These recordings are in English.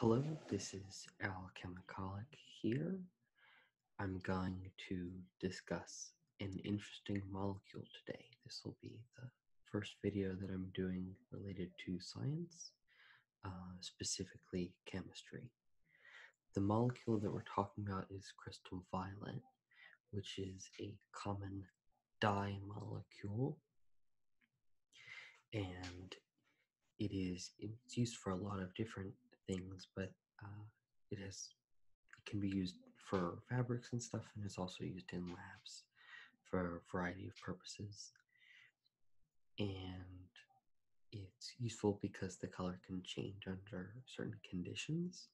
Hello, this is Al Kamikalik here. I'm going to discuss an interesting molecule today. This will be the first video that I'm doing related to science, uh, specifically chemistry. The molecule that we're talking about is crystal violet, which is a common dye molecule. And it is it's used for a lot of different things, but uh, it has it can be used for fabrics and stuff, and it's also used in labs for a variety of purposes. And it's useful because the color can change under certain conditions.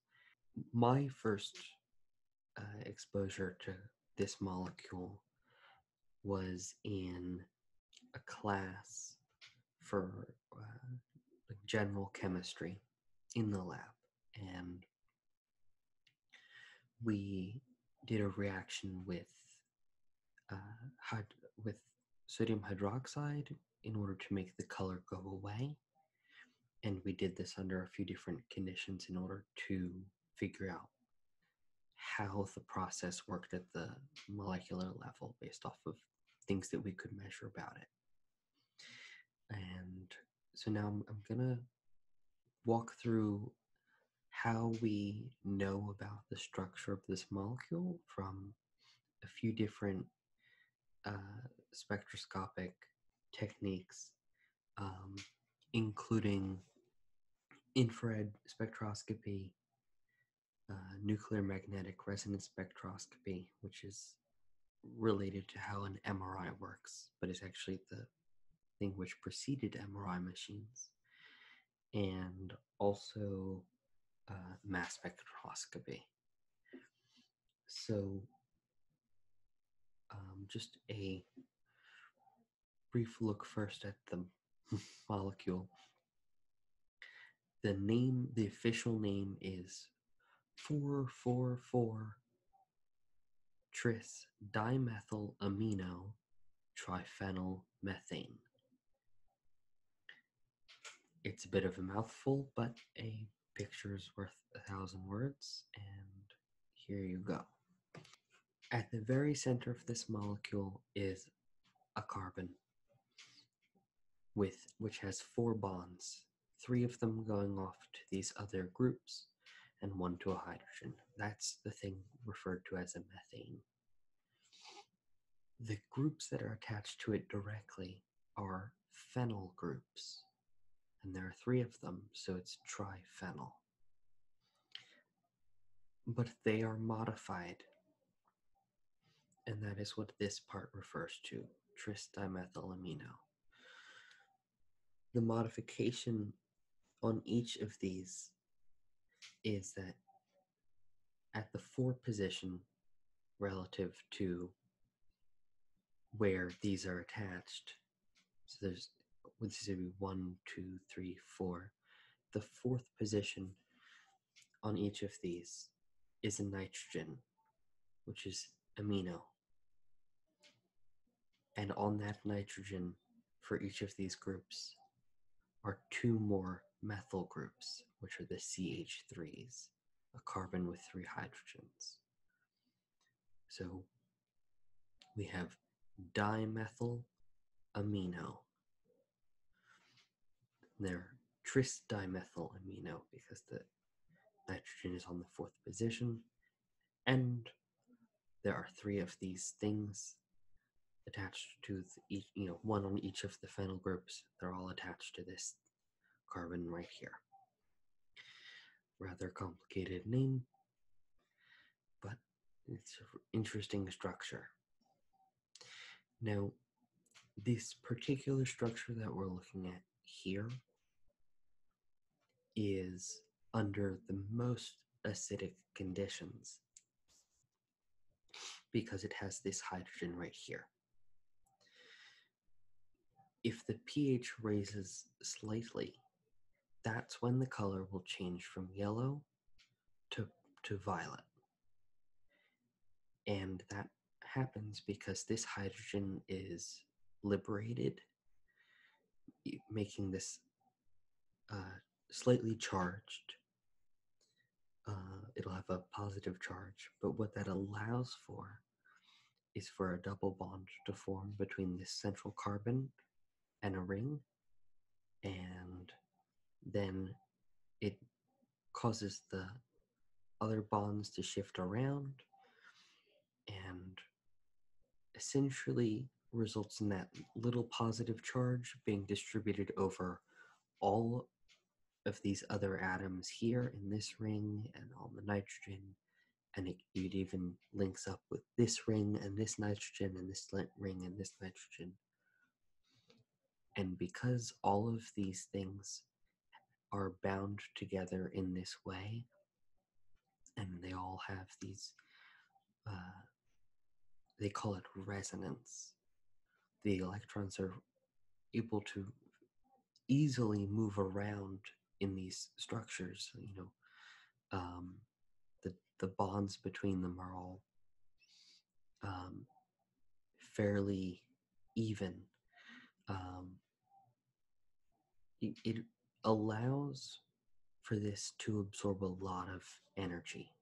My first uh, exposure to this molecule was in a class for uh, general chemistry in the lab, and we did a reaction with uh, with sodium hydroxide in order to make the color go away. And we did this under a few different conditions in order to figure out how the process worked at the molecular level based off of things that we could measure about it. And so now I'm, going to walk through how we know about the structure of this molecule from a few different uh, spectroscopic techniques, um, including infrared spectroscopy, uh, nuclear magnetic resonance spectroscopy, which is related to how an MRI works, but it's actually the thing which preceded MRI machines, and also uh, mass spectroscopy. So, um, just a brief look first at the molecule. The name, the official name is 444 tris dimethyl amino triphenyl methane. It's a bit of a mouthful, but a picture is worth a thousand words, and here you go. At the very center of this molecule is a carbon with which has four bonds, three of them going off to these other groups and one to a hydrogen. That's the thing referred to as a methane. The groups that are attached to it directly are phenyl groups, and there are three of them, so it's triphenyl. But they are modified. And that is what this part refers to trimethylamino. The modification on each of these is that at the four position relative to where these are attached, so there's this is gonna be one, two, three, four. The fourth position on each of these is a nitrogen, which is amino. And on that nitrogen for each of these groups are two more methyl groups, which are the CH3s, a carbon with three hydrogens. So we have dimethyl amino they're tris dimethyl amino because the nitrogen is on the fourth position. And there are three of these things attached to the, each, you know, one on each of the phenyl groups. They're all attached to this carbon right here. Rather complicated name but it's an interesting structure. Now, this particular structure that we're looking at here is under the most acidic conditions because it has this hydrogen right here. If the pH raises slightly, that's when the color will change from yellow to to violet. And that happens because this hydrogen is liberated, making this uh, slightly charged. Uh, it'll have a positive charge, but what that allows for is for a double bond to form between this central carbon and a ring, and then it causes the other bonds to shift around and essentially results in that little positive charge being distributed over all of these other atoms here in this ring and all the nitrogen and it even links up with this ring and this nitrogen and this ring and this nitrogen and because all of these things are bound together in this way, and they all have these, uh, they call it resonance. The electrons are able to easily move around in these structures. You know, um, the bonds between them are all um, fairly even. Um, it allows for this to absorb a lot of energy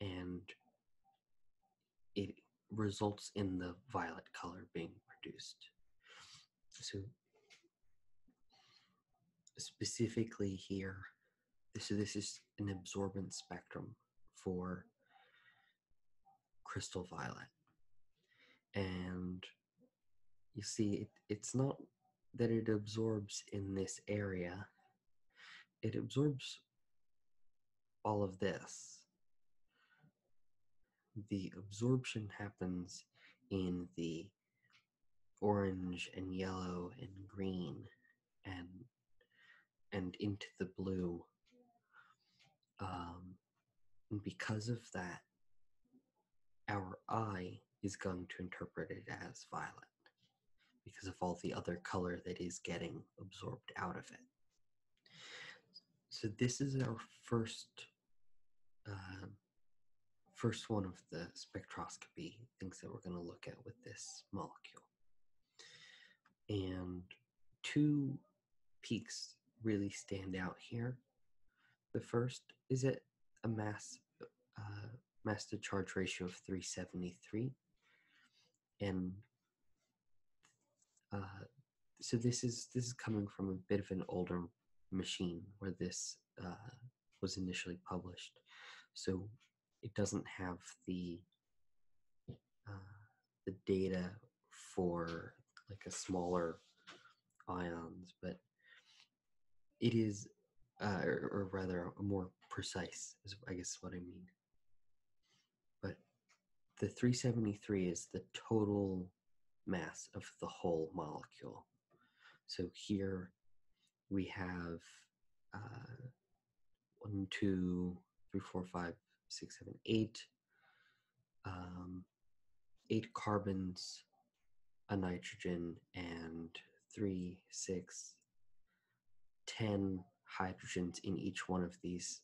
and it results in the violet color being produced. So, specifically here, so this is an absorbance spectrum for crystal violet and you see it, it's not that it absorbs in this area it absorbs all of this the absorption happens in the orange and yellow and green and and into the blue. Um, and because of that, our eye is going to interpret it as violet because of all the other color that is getting absorbed out of it. So this is our first uh, first one of the spectroscopy things that we're going to look at with this molecule. And two peaks really stand out here. The first is at a mass uh, to charge ratio of 373, and uh, so this is this is coming from a bit of an older machine where this uh, was initially published. So it doesn't have the uh, the data for like a smaller ions, but it is, uh, or, or rather, more precise I guess what I mean. But the 373 is the total mass of the whole molecule. So here we have uh, one, two, three, four, five, six, seven, eight, um, eight carbons, a nitrogen, and three, six, ten hydrogens in each one of these.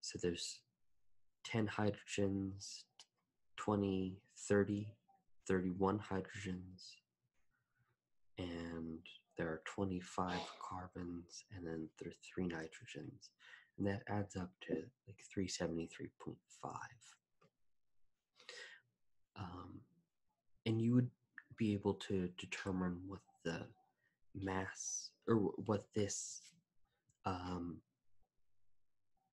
So there's 10 hydrogens, 20, 30, 31 hydrogens, and there are 25 carbons and then there are three nitrogens and that adds up to like 373.5 um, and you would be able to determine what the mass or what this um,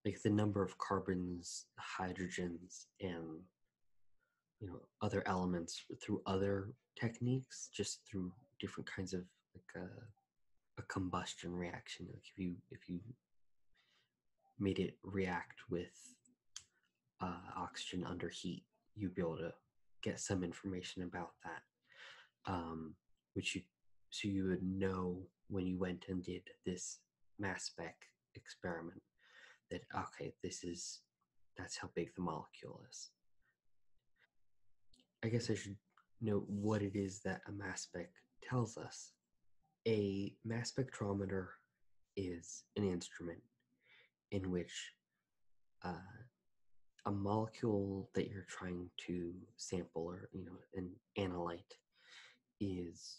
like the number of carbons hydrogens and you know other elements through other techniques just through different kinds of like uh, a, combustion reaction like if you if you made it react with uh, oxygen under heat you'd be able to get some information about that um, which you so you would know when you went and did this mass spec experiment that okay this is that's how big the molecule is. I guess I should note what it is that a mass spec tells us. A mass spectrometer is an instrument in which uh, a molecule that you're trying to sample or you know an analyte is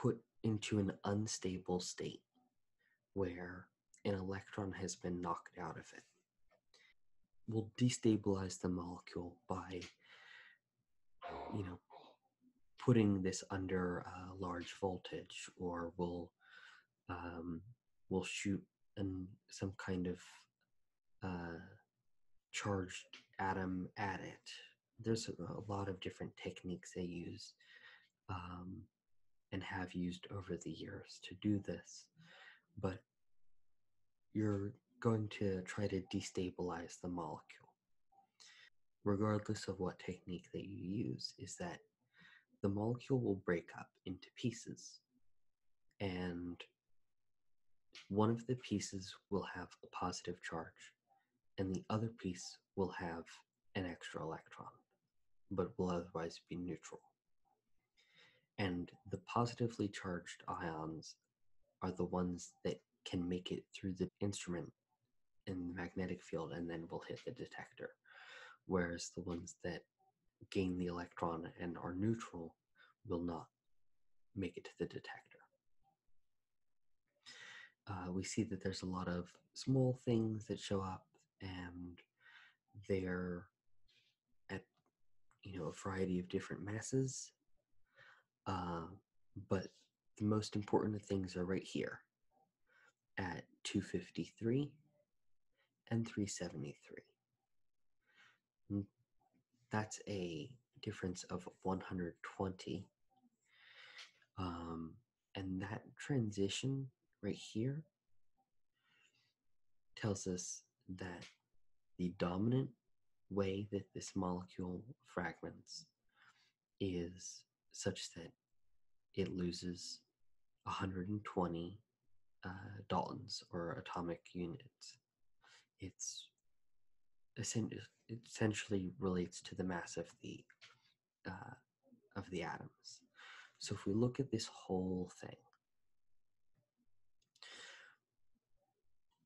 put into an unstable state where an electron has been knocked out of it. we Will destabilize the molecule by, you know, putting this under uh, large voltage, or will um, will shoot some kind of uh, charged atom at it. There's a, lot of different techniques they use. Um, and have used over the years to do this, but you're going to try to destabilize the molecule. Regardless of what technique that you use, is that the molecule will break up into pieces. And one of the pieces will have a positive charge, and the other piece will have an extra electron, but will otherwise be neutral. And the positively charged ions are the ones that can make it through the instrument in the magnetic field and then will hit the detector, whereas the ones that gain the electron and are neutral will not make it to the detector. Uh, we see that there's a lot of small things that show up and they're at you know a variety of different masses uh, but the most important things are right here at 253 and 373 that's a difference of 120 um, and that transition right here tells us that the dominant way that this molecule fragments is such that it loses 120 uh, Daltons or atomic units. It's it essentially relates to the mass of the uh, of the atoms. So if we look at this whole thing,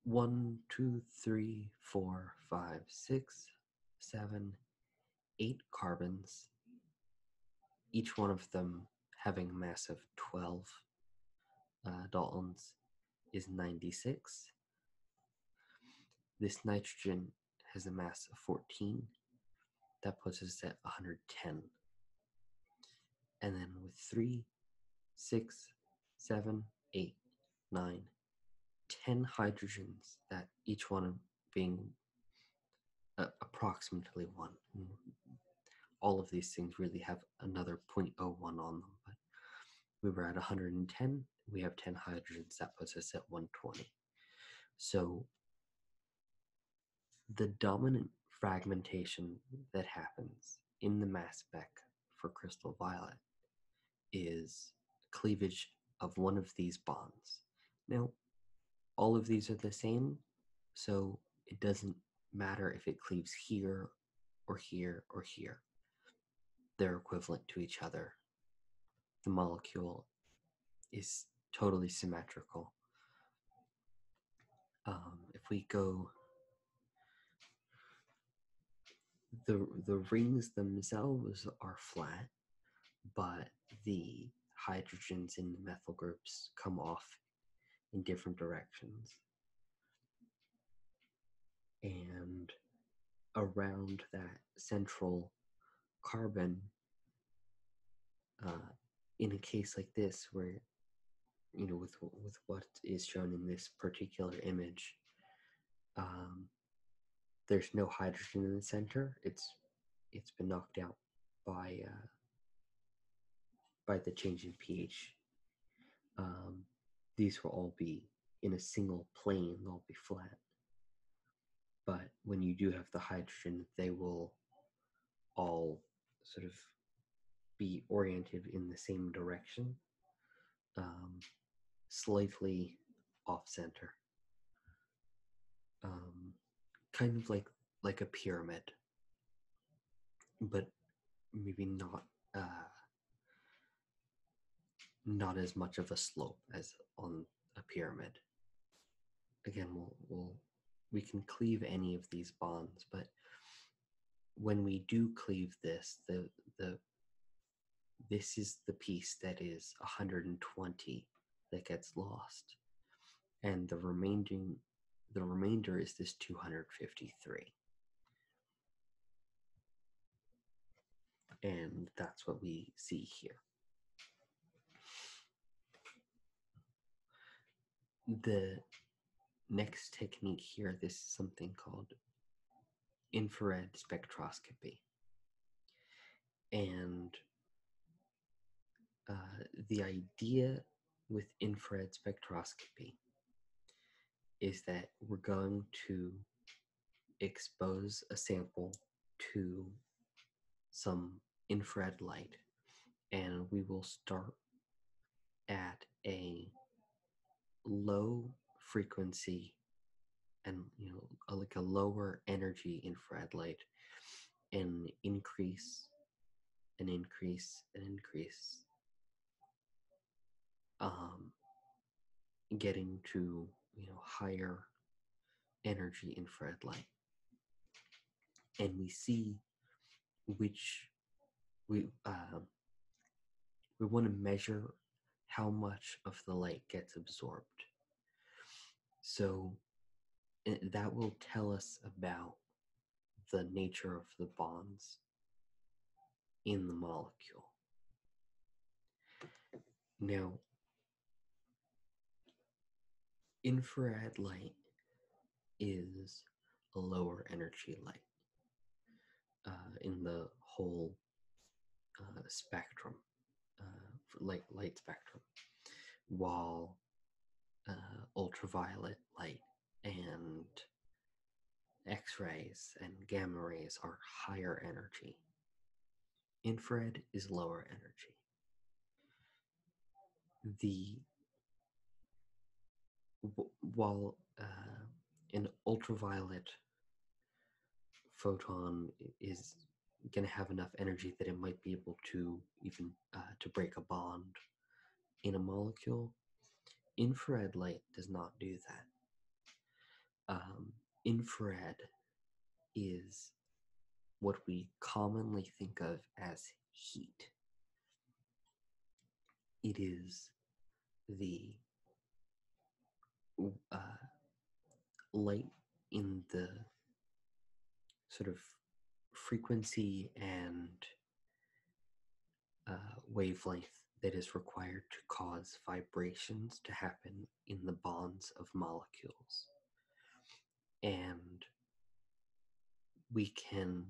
one, two, three, four, five, six, seven, eight carbons, each one of them having a mass of 12 uh, Daltons is 96. This nitrogen has a mass of 14. That puts us at 110. And then with three, six, seven, eight, nine, ten hydrogens, that each one being uh, approximately 1. All of these things really have another 0.01 on them, but we were at 110. We have 10 hydrogens, that puts us at 120. So the dominant fragmentation that happens in the mass spec for crystal violet is cleavage of one of these bonds. Now, all of these are the same, so it doesn't matter if it cleaves here or here or here. They're equivalent to each other the molecule is totally symmetrical. Um, if we go the the rings themselves are flat, but the hydrogens in the methyl groups come off in different directions. And around that central carbon uh, in a case like this where you know with with what is shown in this particular image um, there's no hydrogen in the center it's it's been knocked out by uh, by the change in ph um, these will all be in a single plane they'll be flat but when you do have the hydrogen, they will all sort of be oriented in the same direction, um, slightly off center, um, kind of like like a pyramid, but maybe not uh, not as much of a slope as on a pyramid. Again, we can cleave any of these bonds, but when we do cleave this, this is the piece that is 120 that gets lost. And the remaining, the remainder is this 253. And that's what we see here. The next technique here, this is something called infrared spectroscopy. And uh, the idea with infrared spectroscopy is that we're going to expose a sample to some infrared light and we will start at a low frequency and you know like a lower energy infrared light and increase and increase and increase um getting to you know higher energy infrared light. And we see which we um, we want to measure how much of the light gets absorbed. So eh, that will tell us about the nature of the bonds in the molecule. Now, Infrared light is lower energy light uh, in the whole uh, spectrum, uh, light light spectrum, while uh, ultraviolet light and X-rays and gamma rays are higher energy. Infrared is lower energy the while uh, an ultraviolet photon is going to have enough energy that it might be able to even uh, to break a bond in a molecule infrared light does not do that um, infrared is what we commonly think of as heat. It is the uh, light in the sort of frequency and uh, wavelength that is required to cause vibrations to happen in the bonds of molecules. And we can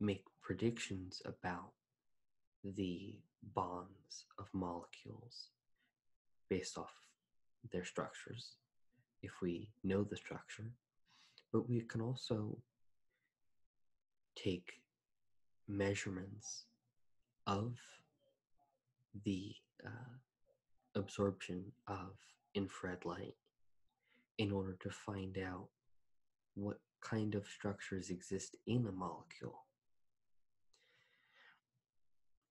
make predictions about the bonds of molecules based off their structures if we know the structure, but we can also take measurements of the uh, absorption of infrared light in order to find out what kind of structures exist in a molecule.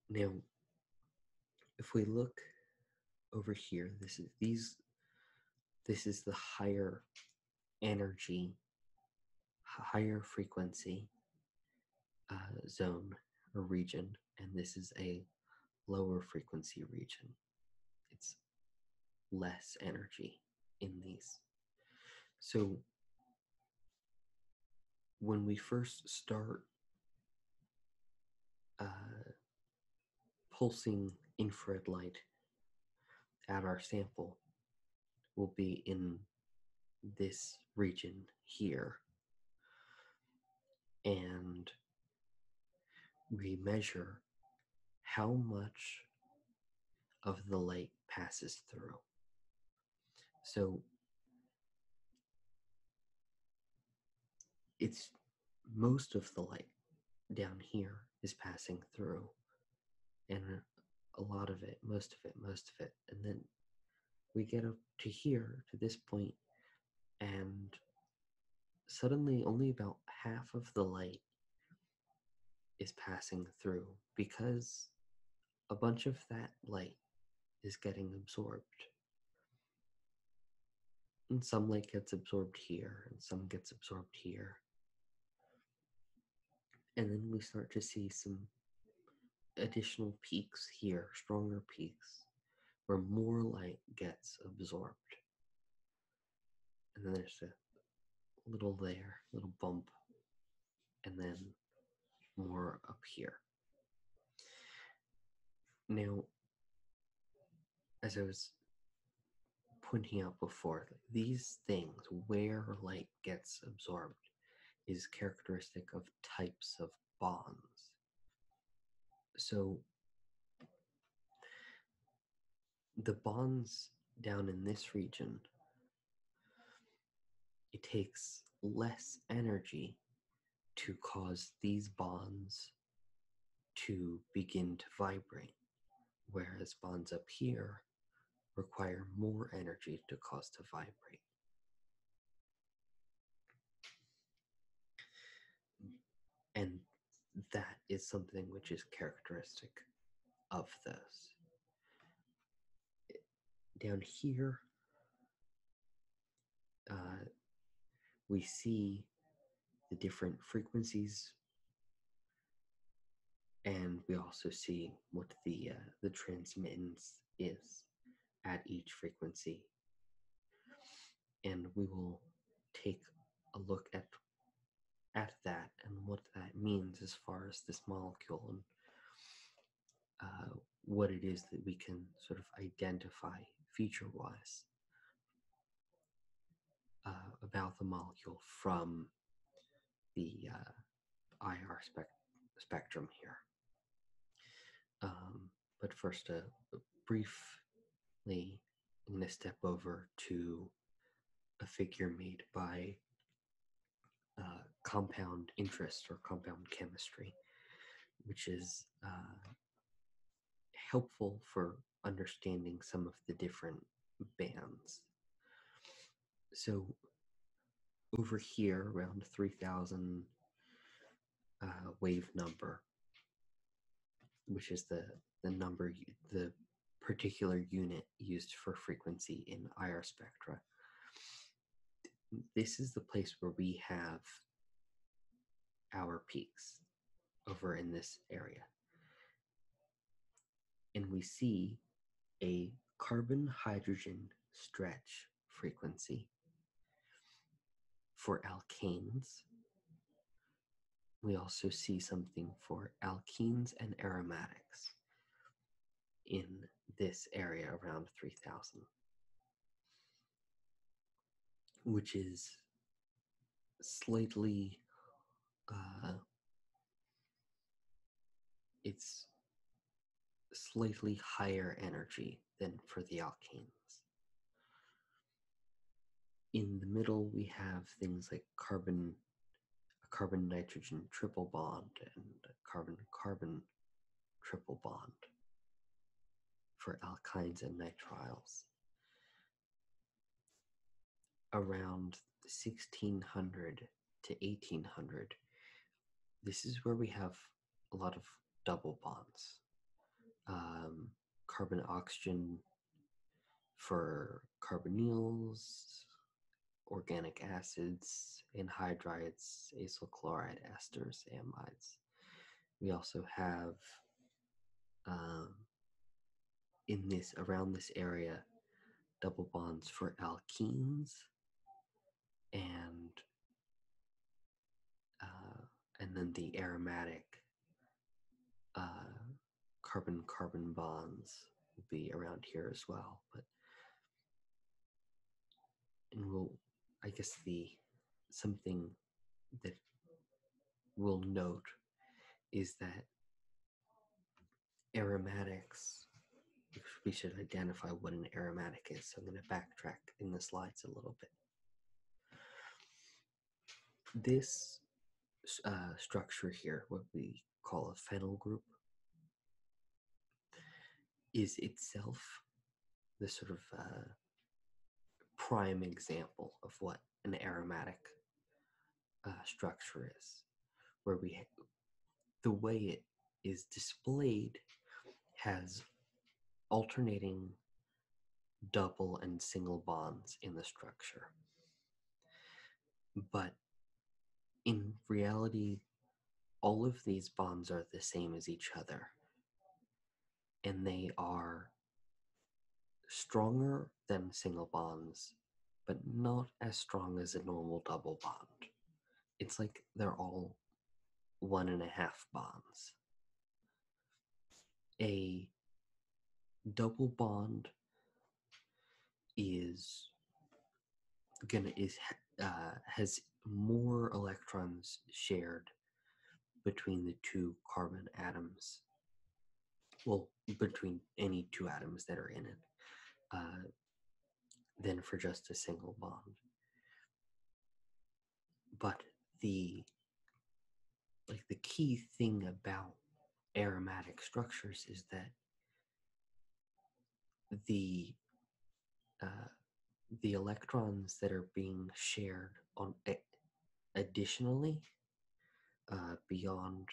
Now, if we look over here, this is these this is the higher energy, higher frequency uh, zone or region, and this is a lower frequency region. It's less energy in these. So when we first start uh, pulsing infrared light at our sample will be in this region here. And we measure how much of the light passes through. So it's most of the light down here is passing through, and a lot of it, most of it, most of it, and then we get up to here to this point and suddenly only about half of the light is passing through because a bunch of that light is getting absorbed. And some light gets absorbed here, and some gets absorbed here. And then we start to see some additional peaks here, stronger peaks, where more light gets absorbed. And then there's a little there, little bump, and then more up here. Now, as I was pointing out before, these things, where light gets absorbed, is characteristic of types of bonds. So the bonds down in this region, it takes less energy to cause these bonds to begin to vibrate, whereas bonds up here require more energy to cause to vibrate. And that is something which is characteristic of this. Down here, uh, we see the different frequencies, and we also see what the uh, the transmittance is at each frequency and we will take a look at at that and what that means as far as this molecule and uh, what it is that we can sort of identify feature-wise uh, about the molecule from the uh, IR spectrum here. Um, but first, uh, briefly, I'm going to step over to a figure made by uh, compound interest or compound chemistry, which is uh, helpful for understanding some of the different bands. So, over here, around 3,000 uh, wave number, which is the the number the particular unit used for frequency in IR spectra. This is the place where we have our peaks over in this area. And we see a carbon hydrogen stretch frequency. For alkanes, we also see something for alkenes and aromatics in this area around 3000, which is slightly, uh, it's slightly higher energy than for the alkanes. In the middle, we have things like carbon, a carbon nitrogen triple bond, and carbon carbon triple bond for alkynes and nitriles. Around 1600 to 1800, this is where we have a lot of double bonds. Um, carbon oxygen for carbonyls, organic acids, anhydrides, acyl chloride esters, amides. We also have um, in this around this area double bonds for alkenes and uh, and then the aromatic uh, carbon carbon bonds will be around here as well. But and we'll, I guess the something that we'll note is that aromatics. We should identify what an aromatic is. So I'm going to backtrack in the slides a little bit. This uh, structure here, what we call a phenyl group, is itself the sort of uh, prime example of what an aromatic uh, structure is, where we the way it is displayed has alternating double and single bonds in the structure. But in reality, all of these bonds are the same as each other, and they are stronger than single bonds, but not as strong as a normal double bond. It's like they're all one and a half bonds. A double bond is going is uh, has more electrons shared between the two carbon atoms. Well, between any two atoms that are in it, uh, than for just a single bond but the like the key thing about aromatic structures is that the uh, the electrons that are being shared on additionally uh, beyond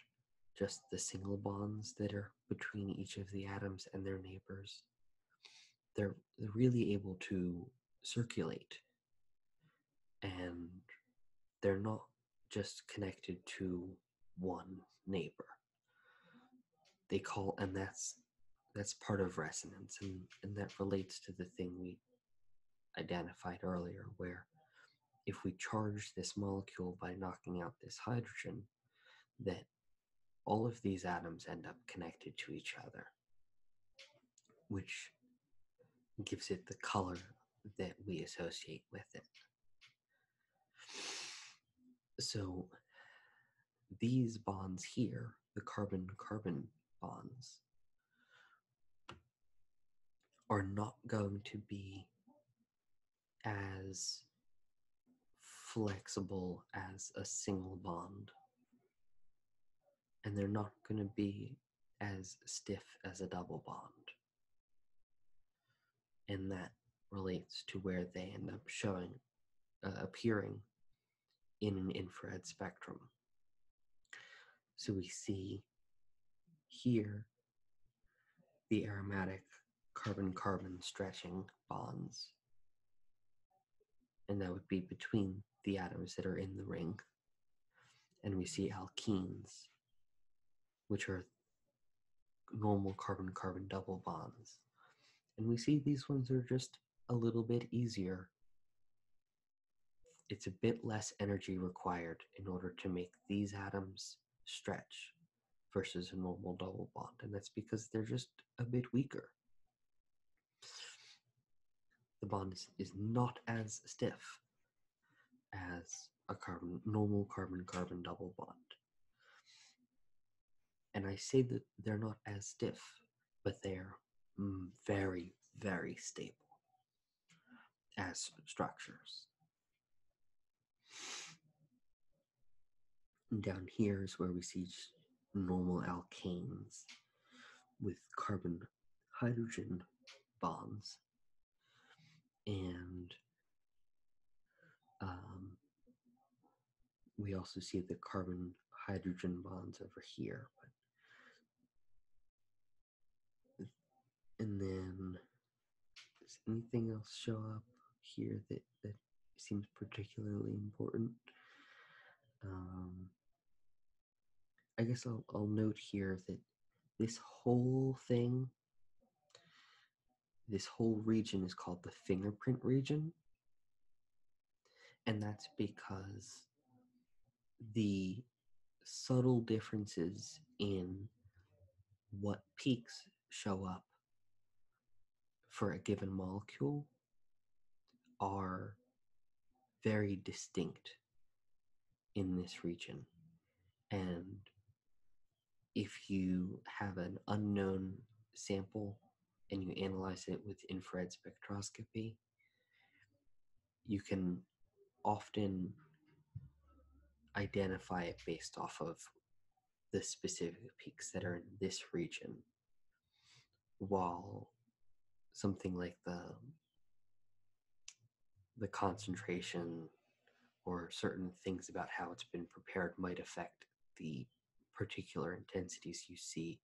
just the single bonds that are between each of the atoms and their neighbors they're really able to circulate and they're not just connected to one neighbor they call and that's that's part of resonance and, and that relates to the thing we identified earlier where if we charge this molecule by knocking out this hydrogen that all of these atoms end up connected to each other which gives it the color that we associate with it. So these bonds here, the carbon carbon bonds, are not going to be as flexible as a single bond and they're not going to be as stiff as a double bond. And that relates to where they end up showing, uh, appearing in an infrared spectrum. So we see here the aromatic carbon carbon stretching bonds and that would be between the atoms that are in the ring. And we see alkenes, which are normal carbon carbon double bonds. And we see these ones are just a little bit easier. It's a bit less energy required in order to make these atoms stretch versus a normal double bond. And that's because they're just a bit weaker. The bond is, not as stiff as a carbon normal carbon carbon double bond. And I say that they're not as stiff, but they're mm, very, very stable as structures. And down here is where we see normal alkanes with carbon hydrogen bonds and um, we also see the carbon hydrogen bonds over here and then does anything else show up here that, that seems particularly important um, I guess I'll, note here that this whole thing, this whole region is called the fingerprint region. And that's because the subtle differences in what peaks show up for a given molecule are very distinct in this region. And if you have an unknown sample and you analyze it with infrared spectroscopy, you can often identify it based off of the specific peaks that are in this region while something like the the concentration or certain things about how it's been prepared might affect the particular intensities you see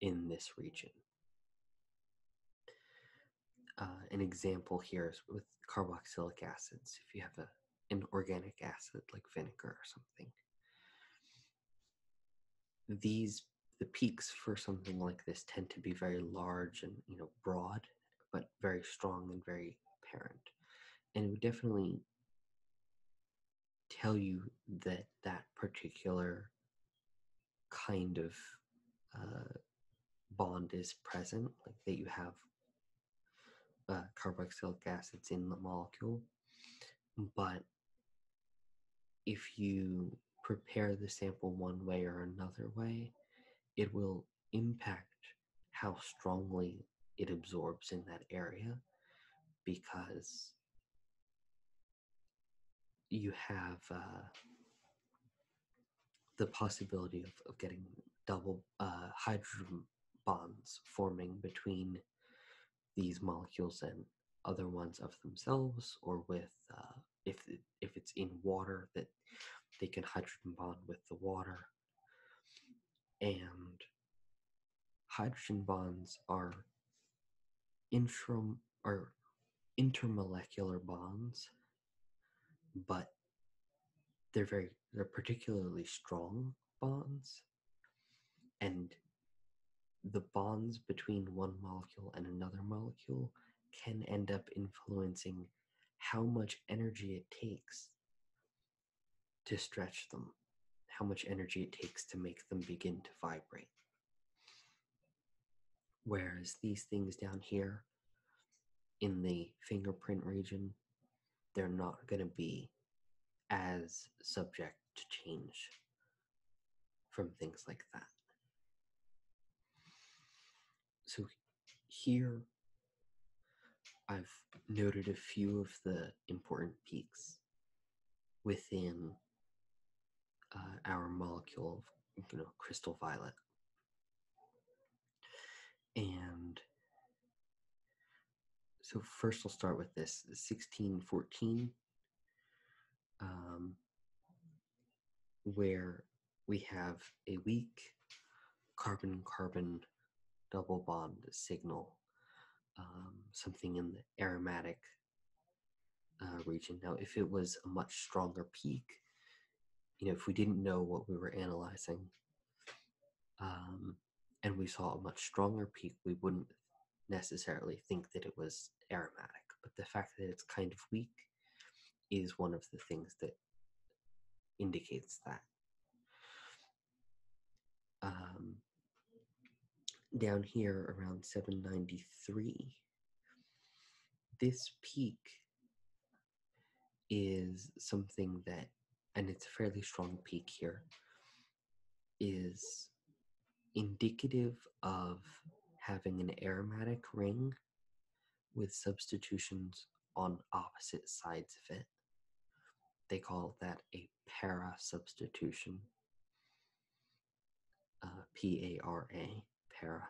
in this region. Uh, an example here is with carboxylic acids. If you have an organic acid like vinegar or something, these the peaks for something like this tend to be very large and you know broad but very strong and very apparent and it would definitely tell you that that particular kind of uh, bond is present like that you have uh, carboxylic acids in the molecule but if you prepare the sample one way or another way, it will impact how strongly it absorbs in that area because you have uh, the possibility of, getting double uh, hydrogen bonds forming between these molecules and other ones of themselves or with uh, if if it's in water that they can hydrogen bond with the water and hydrogen bonds are intra are intermolecular bonds but they're very they're particularly strong bonds and the bonds between one molecule and another molecule can end up influencing how much energy it takes to stretch them, how much energy it takes to make them begin to vibrate. Whereas these things down here in the fingerprint region, they're not going to be as subject to change from things like that. So here I've noted a few of the important peaks within uh, our molecule, you know, crystal violet. And so 1st we I'll start with this 1614. Um, where we have a weak carbon carbon double bond signal, um, something in the aromatic uh, region. Now, if it was a much stronger peak, you know, if we didn't know what we were analyzing um, and we saw a much stronger peak, we wouldn't necessarily think that it was aromatic, but the fact that it's kind of weak is one of the things that indicates that. Um, down here around 793, this peak is something that, and it's a fairly strong peak here, is indicative of having an aromatic ring with substitutions on opposite sides of it. They call that a para substitution. Uh, P A R A, para.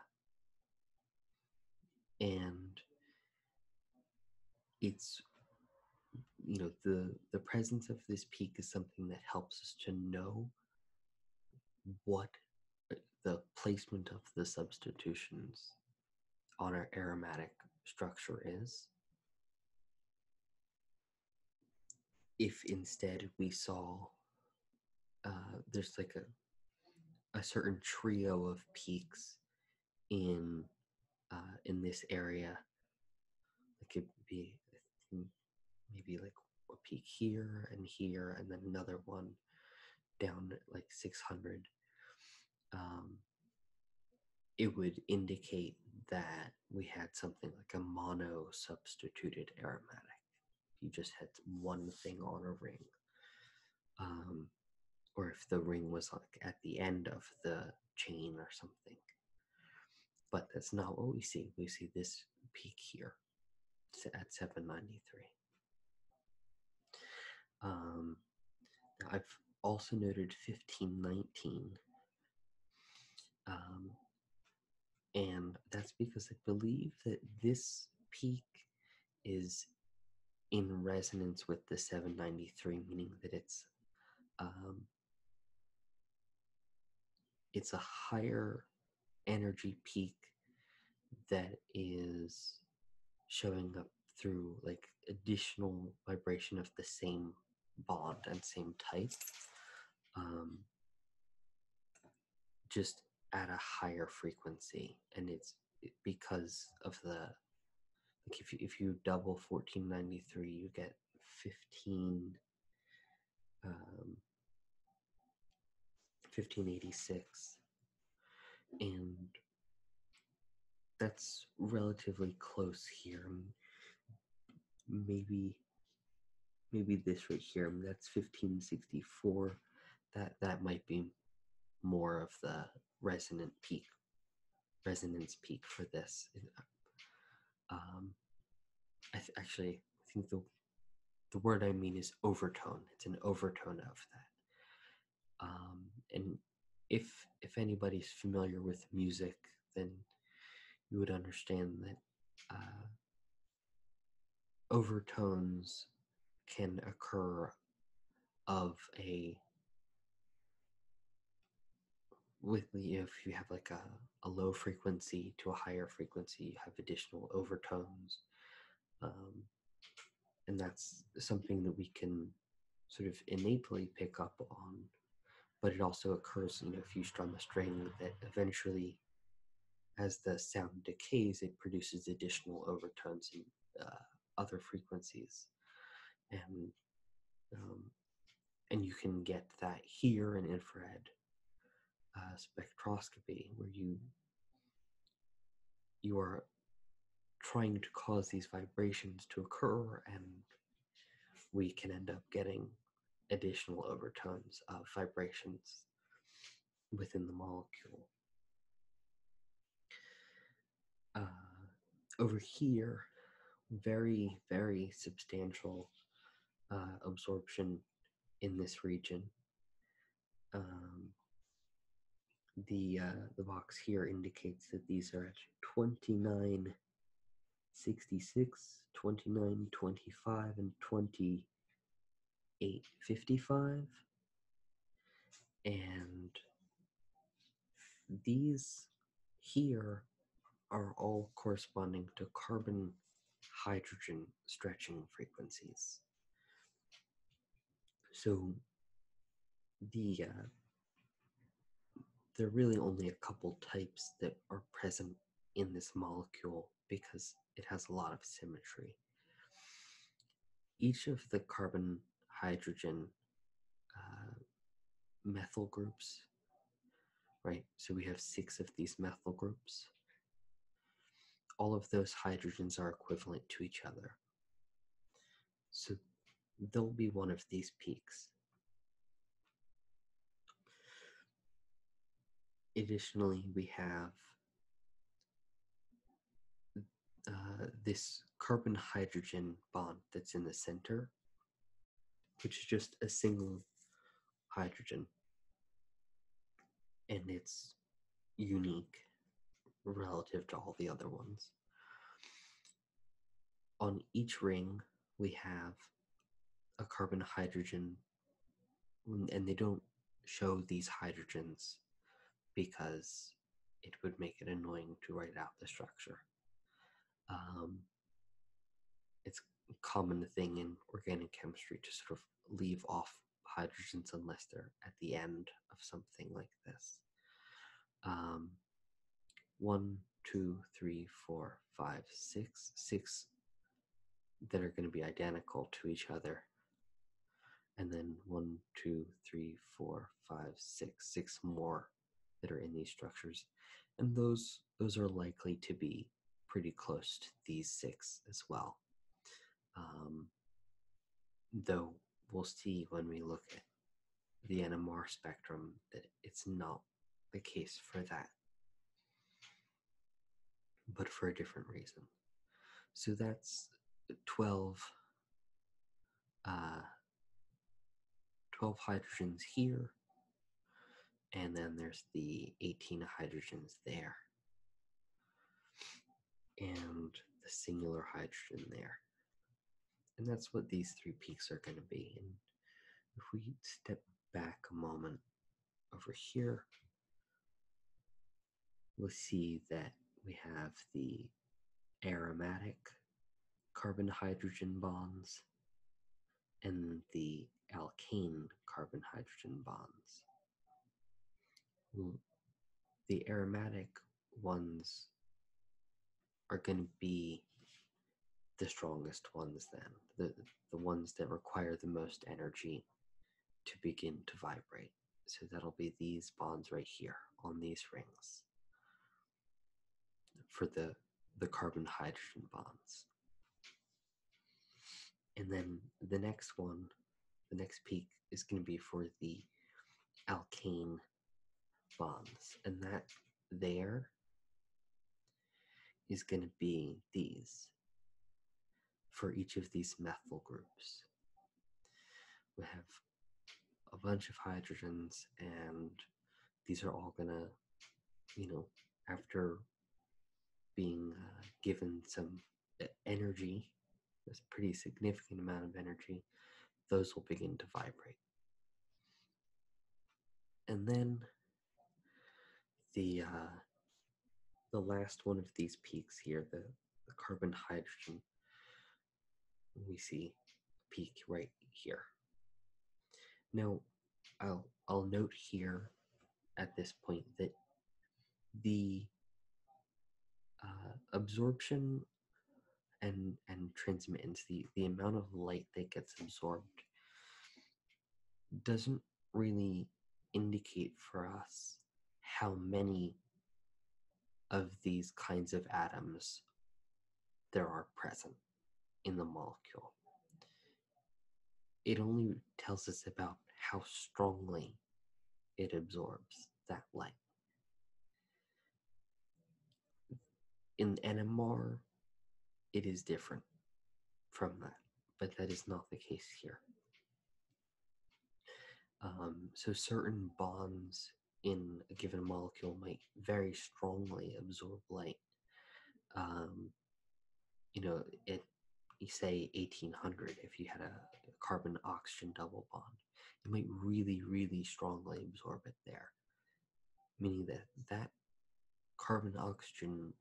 And it's you know the the presence of this peak is something that helps us to know what uh, the placement of the substitutions on our aromatic structure is. If instead we saw uh, there's like a a certain trio of peaks in uh, in this area, it could be maybe like a peak here and here and then another one down like 600 um, it would indicate that we had something like a mono substituted aromatic you just had one thing on a ring um, or if the ring was like at the end of the chain or something but that's not what we see we see this peak here at 793. Um, I've also noted 1519. Um, and that's because I believe that this peak is in resonance with the 793, meaning that it's um, it's a higher energy peak that is showing up through like additional vibration of the same bond and same type um, just at a higher frequency and it's because of the like if if you double 1493 you get 15 1586. Um, and that's relatively close here. Maybe maybe this right here, that's 1564. That that might be more of the resonant peak, resonance peak for this. Um, actually I think the the word I mean is overtone. It's an overtone of that. Um, and if if anybody's familiar with music, then you would understand that uh, overtones can occur of a with if you have like a a low frequency to a higher frequency, have additional overtones. Um, and that's something that we can sort of innately pick up on. But it also occurs, you know, if you strum a string, that eventually, as the sound decays, it produces additional overtones and uh, other frequencies. And um, and you can get that here in infrared uh, spectroscopy, where you you are trying to cause these vibrations to occur, and we can end up getting additional overtones of vibrations within the molecule. Uh, over here, very, very substantial uh, absorption in this region. Um, the uh, the box here indicates that these are at 29, 66, 29, 25, and twenty eight, fifty five, And these here are all corresponding to carbon hydrogen stretching frequencies. So the uh, there are really only a couple types that are present in this molecule because it has a lot of symmetry. Each of the carbon hydrogen uh, methyl groups, right, so we have six of these methyl groups. All of those hydrogens are equivalent to each other. So there'll be one of these peaks. Additionally, we have uh, this carbon hydrogen bond that's in the center, which is just a single hydrogen. And it's unique relative to all the other ones. On each ring, we have a carbon hydrogen, and they don't show these hydrogens because it would make it annoying to write out the structure. Um, it's a common thing in organic chemistry to sort of leave off hydrogens unless they're at the end of something like this. Um, one, two, three, four, five, six, six that are going to be identical to each other. And then one, two, three, four, five, six, six more that are in these structures. And those those are likely to be pretty close to these six as well. Um, though we'll see when we look at the NMR spectrum that it's not the case for that, but for a different reason. So that's 12, uh, 12 hydrogens here, and then there's the 18 hydrogens there and the singular hydrogen there. And that's what these three peaks are going to be. And if we step back a moment over here, we'll see that we have the aromatic carbon hydrogen bonds and the alkane carbon hydrogen bonds. Hmm. the aromatic ones are going to be the strongest ones then the the ones that require the most energy to begin to vibrate so that'll be these bonds right here on these rings for the the carbon hydrogen bonds and then the next one, the next peak is going to be for the alkane bonds, and that there is going to be these for each of these methyl groups. We have a bunch of hydrogens, and these are all going to, you know, after being uh, given some energy, a pretty significant amount of energy, those will begin to vibrate. And then the uh, the last one of these peaks here, the carbon hydrogen, we see peak right here. Now, I'll I'll note here at this point that the uh, absorption and and transmittance, the the amount of light that gets absorbed, doesn't really indicate for us how many of these kinds of atoms there are present in the molecule it only tells us about how strongly it absorbs that light. In NMR, it is different from that, but that is not the case here. Um, so, certain bonds in a given molecule might very strongly absorb light. Um, you know, it you say 1800 if you had a carbon oxygen double bond, it might really, really strongly absorb it there, meaning that that carbon oxygen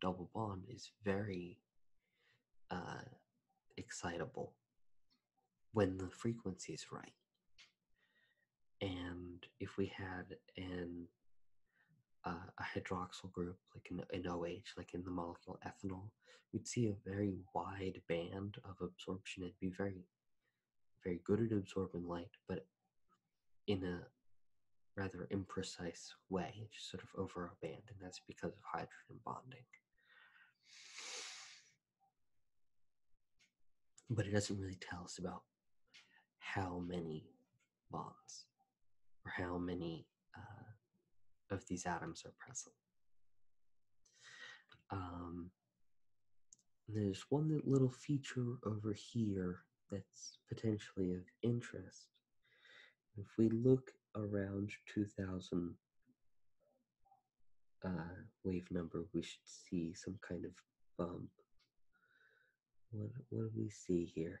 double bond is very uh, excitable when the frequency is right. And if we had an uh, a hydroxyl group like an, an OH, like in the molecule ethanol, we'd see a very wide band of absorption. It'd be very, very good at absorbing light, but in a rather imprecise way, just sort of over a band, and that's because of hydrogen bonding. But it doesn't really tell us about how many bonds or how many uh, of these atoms are present. Um, there's one little feature over here that's potentially of interest. If we look around 2000 uh, wave number, we should see some kind of bump. What, what do we see here?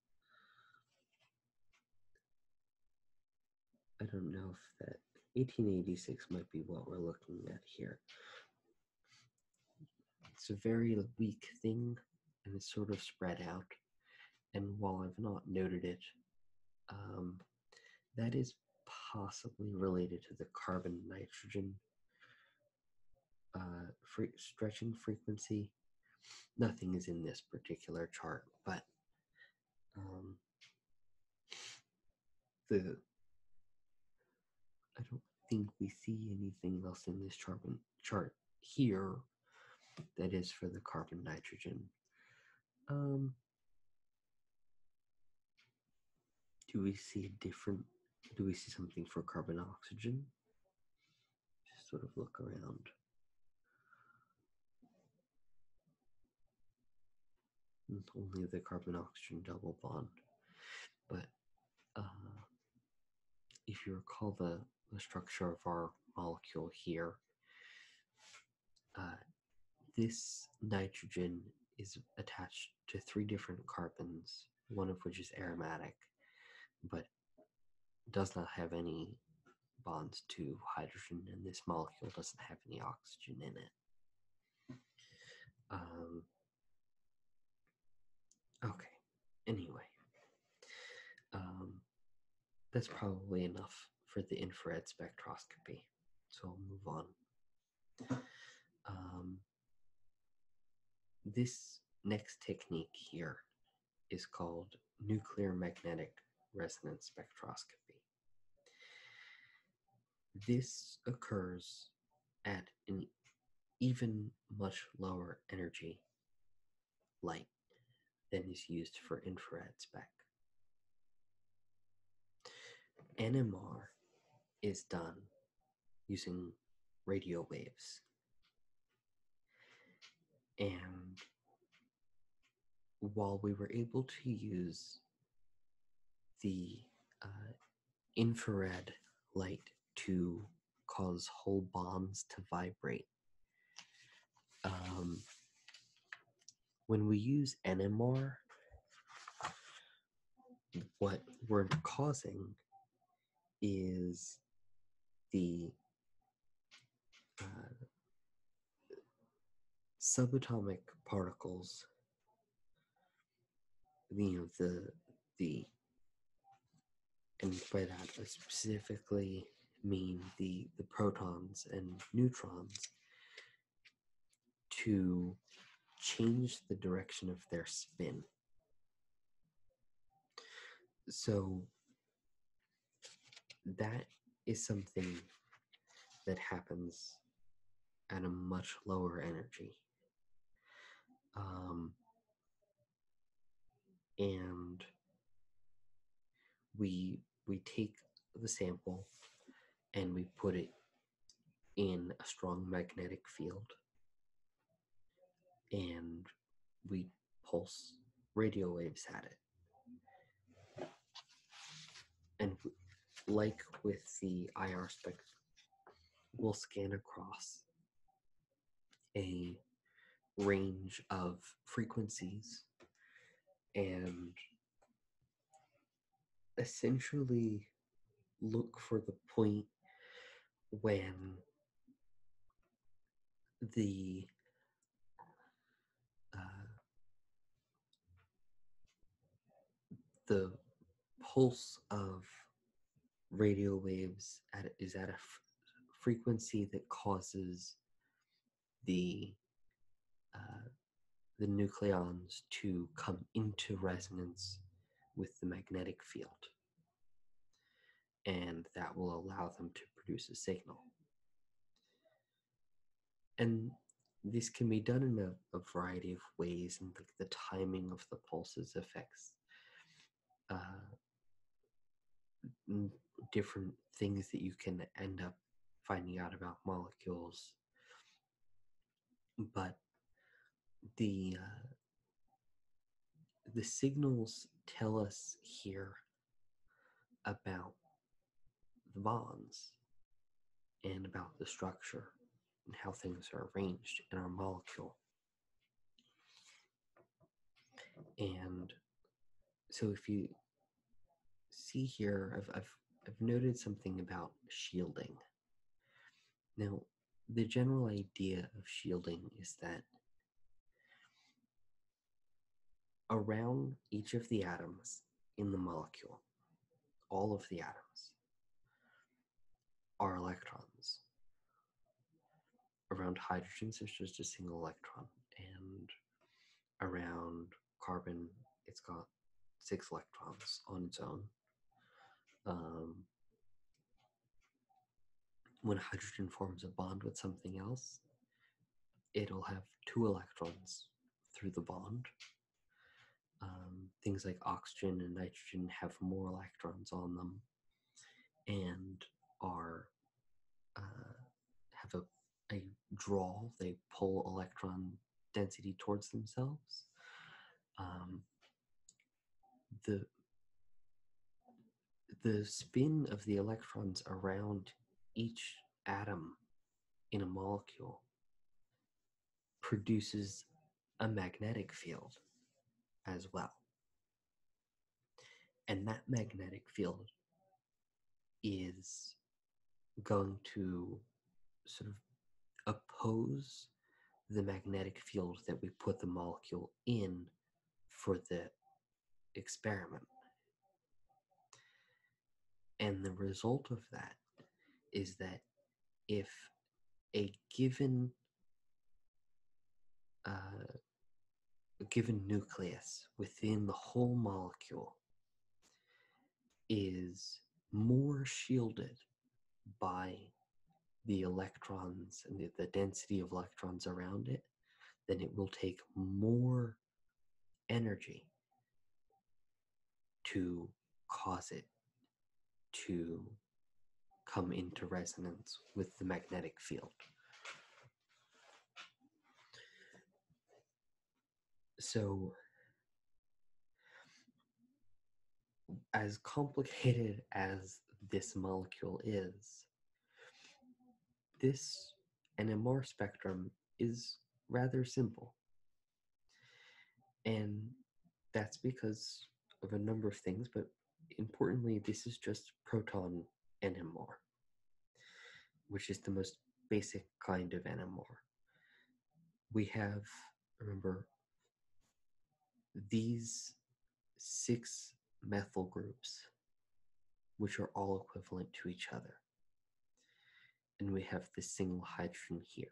I don't know if that 1886 might be what we're looking at here. It's a very weak thing and it's sort of spread out. And while I've not noted it, um, that is possibly related to the carbon nitrogen uh, stretching frequency nothing is in this particular chart, but um, the I don't think we see anything else in this chart, chart here that is for the carbon nitrogen. Um, do we see different, do we see something for carbon oxygen? Just sort of look around. Only mm, the carbon oxygen double bond. But uh, if you recall the, structure of our molecule here, uh, this nitrogen is attached to three different carbons, one of which is aromatic, but does not have any bonds to hydrogen, and this molecule doesn't have any oxygen in it. Um, okay, anyway, um, that's probably enough for the infrared spectroscopy, so I'll move on. Um, this next technique here is called nuclear magnetic resonance spectroscopy. This occurs at an even much lower energy light than is used for infrared spec. NMR is done using radio waves and while we were able to use the uh, infrared light to cause whole bombs to vibrate, um, when we use NMR, what we're causing is the uh, subatomic particles, you know, the, the, and by that I specifically mean the, the protons and neutrons to change the direction of their spin. So that is something that happens at a much lower energy. Um, and we we take the sample and we put it in a strong magnetic field and we pulse, radio waves had it. And like with the IR spectrum, we'll scan across a range of frequencies and essentially look for the point when the uh, the pulse of radio waves is at a frequency that causes the uh, the nucleons to come into resonance with the magnetic field and that will allow them to produce a signal. And this can be done in a, variety of ways, and the timing of the pulses affects uh, different things that you can end up finding out about molecules. But the uh, the signals tell us here about the bonds and about the structure and how things are arranged in our molecule. And so if you see here, I've, I've, I've noted something about shielding. Now, the general idea of shielding is that around each of the atoms in the molecule, all of the atoms, are electrons. Around hydrogen, there's just a single electron, and around carbon, it's got six electrons on its own. Um, when hydrogen forms a bond with something else, it'll have two electrons through the bond. Um, things like oxygen and nitrogen have more electrons on them and are uh, have a, a draw they pull electron density towards themselves um, the the spin of the electrons around each atom in a molecule produces a magnetic field as well. And that magnetic field is going to sort of oppose the magnetic field that we put the molecule in for the experiment. And the result of that is that if a given uh, given nucleus within the whole molecule is more shielded by the electrons and the density of electrons around it then it will take more energy to cause it to come into resonance with the magnetic field. So, as complicated as this molecule is, this and a Mohr spectrum is rather simple. And that's because of a number of things, but importantly, this is just proton NMR, which is the most basic kind of NMR. We have, remember, these six methyl groups which are all equivalent to each other. And we have this single hydrogen here.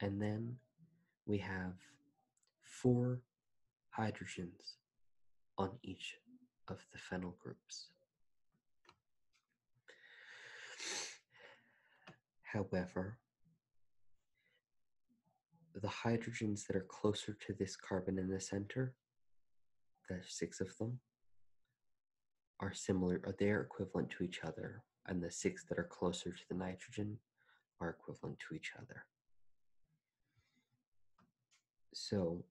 And then we have four hydrogens on each of the phenyl groups. However, the hydrogens that are closer to this carbon in the center the six of them, are similar, or uh, they are equivalent to each other, and the six that are closer to the nitrogen are equivalent to each other. So,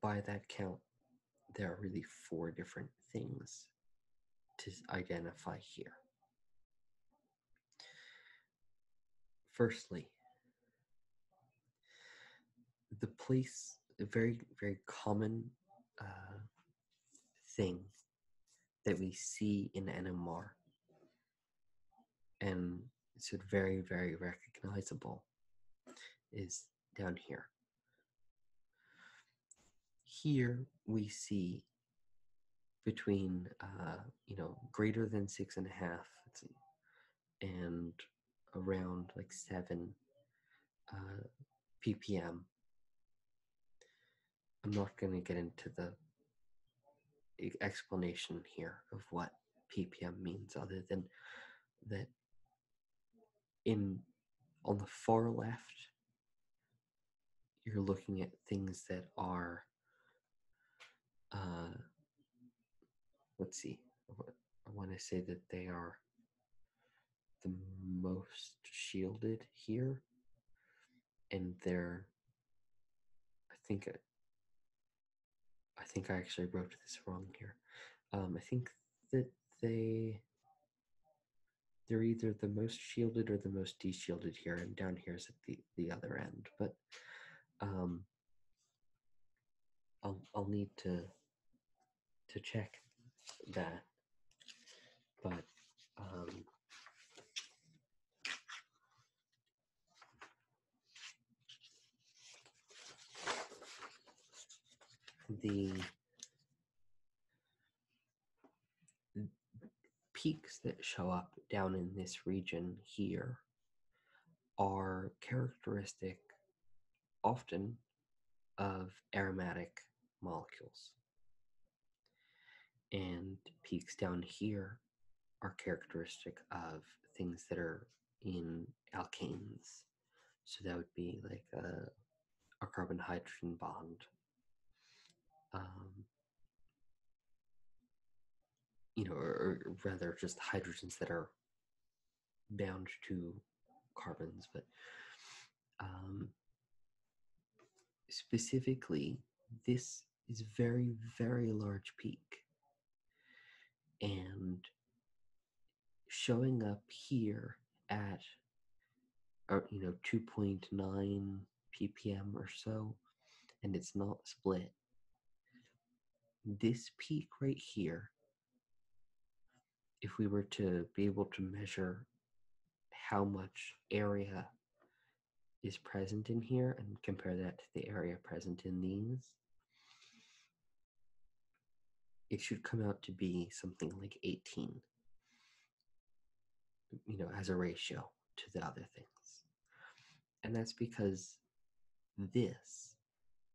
by that count, there are really four different things to identify here. Firstly, the place, a very, very common uh, thing that we see in NMR, and it's very, very recognizable, is down here. Here we see between uh, you know greater than six and a half and around like 7 uh, ppm. I'm not going to get into the explanation here of what ppm means, other than that in on the far left, you're looking at things that are uh, let's see. I want to say that they are the most shielded here, and they're. I think. I think I actually wrote this wrong here. Um, I think that they they're either the most shielded or the most de shielded here, and down here is at the, the other end. But um, I'll I'll need to to check that, but um, the peaks that show up down in this region here are characteristic often of aromatic molecules. And peaks down here are characteristic of things that are in alkanes. So that would be like a, a carbon hydrogen bond. Um, you know, or, rather just hydrogens that are bound to carbons, but um, specifically, this is very, very large peak. And showing up here at, or, uh, you know, 2.9 ppm or so, and it's not split, this peak right here, if we were to be able to measure how much area is present in here and compare that to the area present in these, it should come out to be something like 18, you know, as a ratio to the other things. And that's because this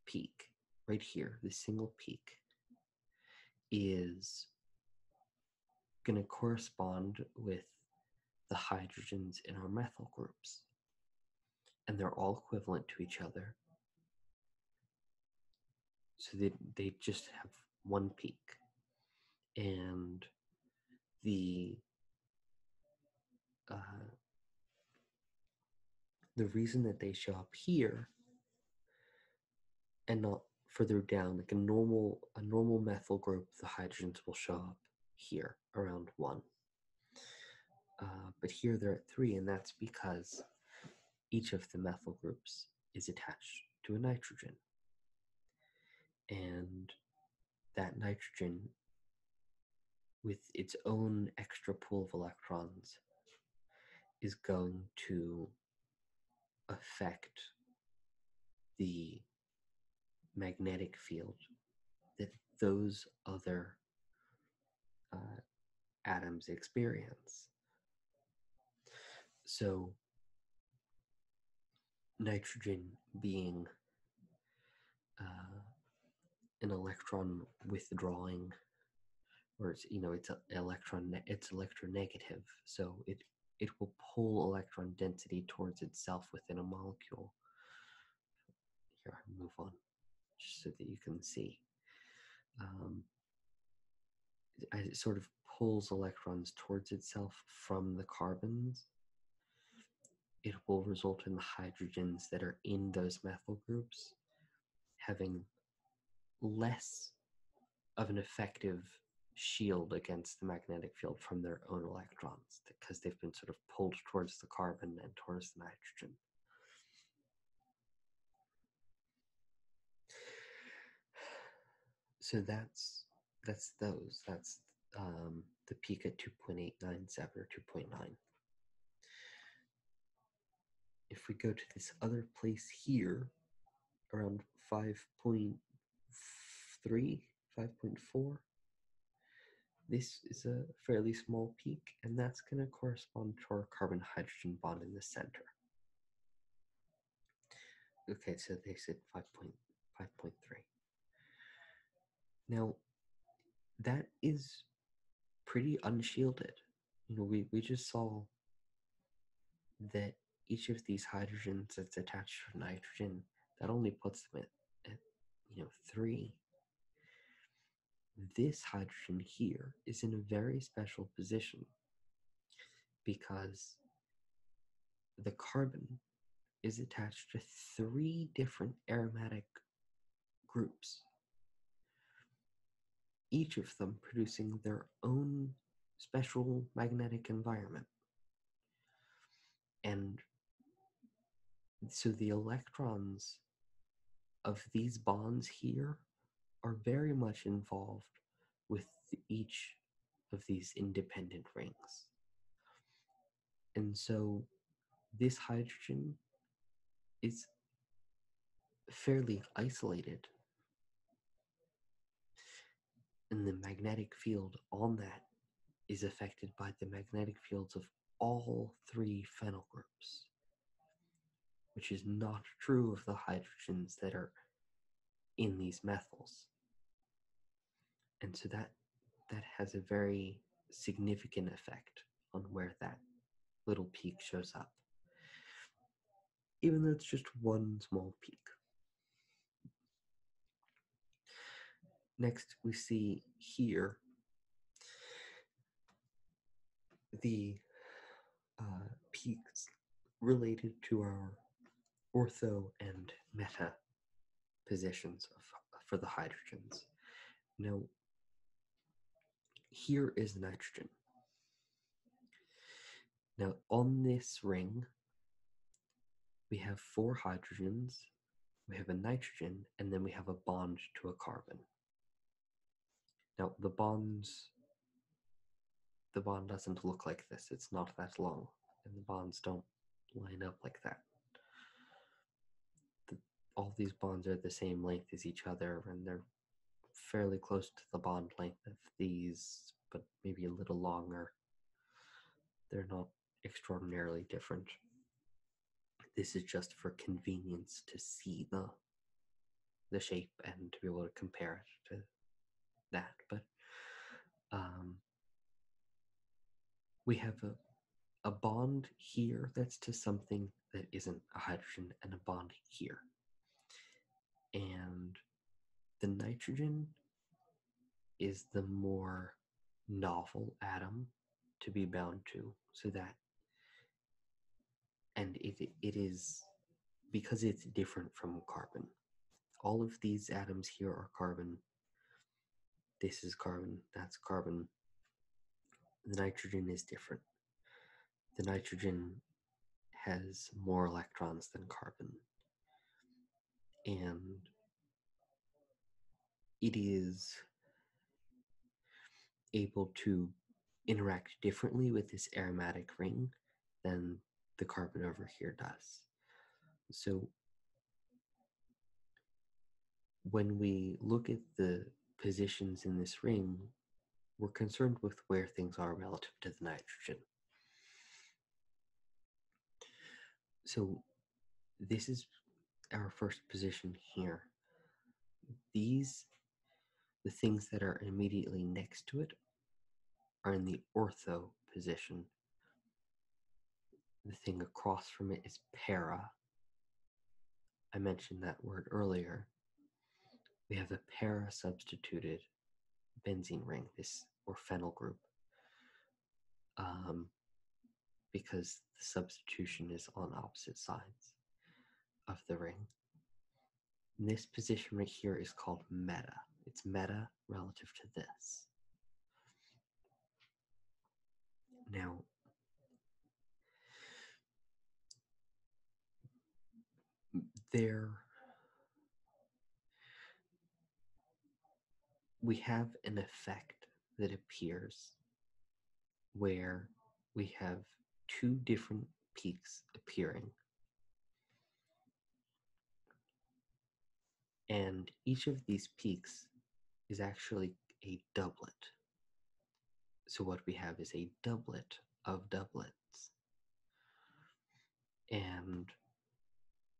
peak right here, the single peak, is going to correspond with the hydrogens in our methyl groups. And they're all equivalent to each other. So they, they just have one peak. And the uh, the reason that they show up here and not further down, like a normal a normal methyl group, the hydrogens will show up here around one. Uh, but here they're at three, and that's because each of the methyl groups is attached to a nitrogen. And that nitrogen with its own extra pool of electrons is going to affect the magnetic field that those other uh, atoms experience. So, nitrogen being uh, an electron withdrawing or it's you know it's electron it's electronegative so it it will pull electron density towards itself within a molecule here i move on just so that you can see um, it sort of pulls electrons towards itself from the carbons it will result in the hydrogens that are in those methyl groups having less of an effective shield against the magnetic field from their own electrons because they've been sort of pulled towards the carbon and towards the nitrogen. So that's that's those. That's um, the peak at 2.897 or 2.9. If we go to this other place here, around 5.3, 5.4, this is a fairly small peak, and that's going to correspond to our carbon-hydrogen bond in the center. Okay, so they said 5.5.3. Now, that is pretty unshielded. You know, we, we just saw that each of these hydrogens that's attached to nitrogen, that only puts them at, at you know, three. This hydrogen here is in a very special position because the carbon is attached to three different aromatic groups, each of them producing their own special magnetic environment. And so the electrons of these bonds here are very much involved with each of these independent rings and so this hydrogen is fairly isolated and the magnetic field on that is affected by the magnetic fields of all three phenyl groups which is not true of the hydrogens that are in these methyls and so that that has a very significant effect on where that little peak shows up even though it's just one small peak next we see here the uh, peaks related to our ortho and meta positions for the hydrogens. Now, here is nitrogen. Now, on this ring, we have four hydrogens, we have a nitrogen, and then we have a bond to a carbon. Now, the bonds, the bond doesn't look like this. It's not that long, and the bonds don't line up like that all these bonds are the same length as each other, and they're fairly close to the bond length of these, but maybe a little longer. They're not extraordinarily different. This is just for convenience to see the the shape and to be able to compare it to that. But um, we have a a bond here that's to something that isn't a hydrogen and a bond here. And the nitrogen is the more novel atom to be bound to. So that, and it, it is because it's different from carbon. All of these atoms here are carbon. This is carbon, that's carbon, the nitrogen is different. The nitrogen has more electrons than carbon. And it is able to interact differently with this aromatic ring than the carbon over here does. So when we look at the positions in this ring, we're concerned with where things are relative to the nitrogen. So this is our first position here. These, the things that are immediately next to it, are in the ortho position. The thing across from it is para, I mentioned that word earlier. We have a para substituted benzene ring, this or phenyl group, um, because the substitution is on opposite sides of the ring. this position right here is called meta. It's meta relative to this. Now, there we have an effect that appears where we have two different peaks appearing. And each of these peaks is actually a doublet. So what we have is a doublet of doublets. And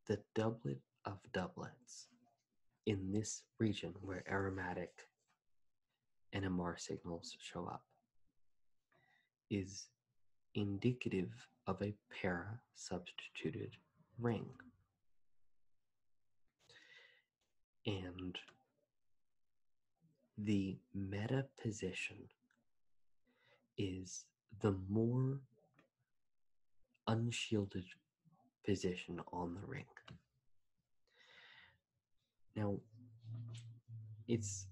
the doublet of doublets in this region where aromatic NMR signals show up is indicative of a para substituted ring and the meta position is the more unshielded position on the ring. Now, it's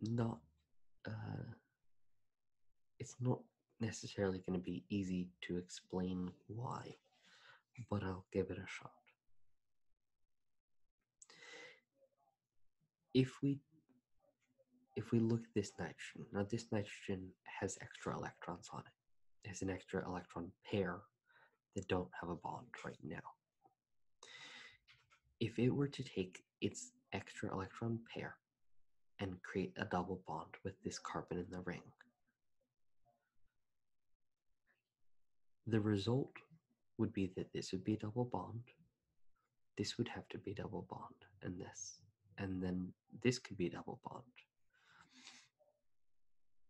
not uh, it's not necessarily going to be easy to explain why, but I'll give it a shot. If we if we look at this nitrogen, now this nitrogen has extra electrons on it. It has an extra electron pair that don't have a bond right now. If it were to take its extra electron pair and create a double bond with this carbon in the ring, the result would be that this would be a double bond, this would have to be double bond, and this, and then this could be double bond.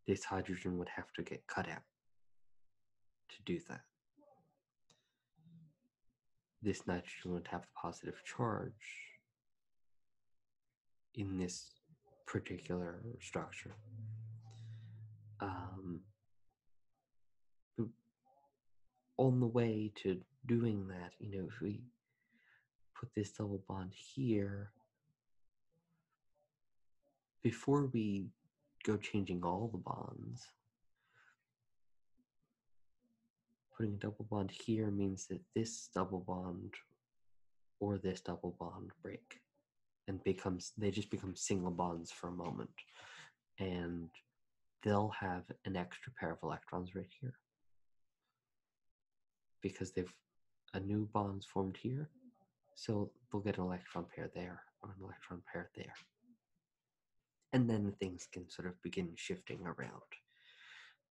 This hydrogen would have to get cut out to do that. This nitrogen would have a positive charge in this particular structure. Um, on the way to doing that, you know, if we put this double bond here, before we go changing all the bonds, putting a double bond here means that this double bond or this double bond break and becomes they just become single bonds for a moment and they'll have an extra pair of electrons right here because they've a new bond's formed here so they'll get an electron pair there or an electron pair there and then things can sort of begin shifting around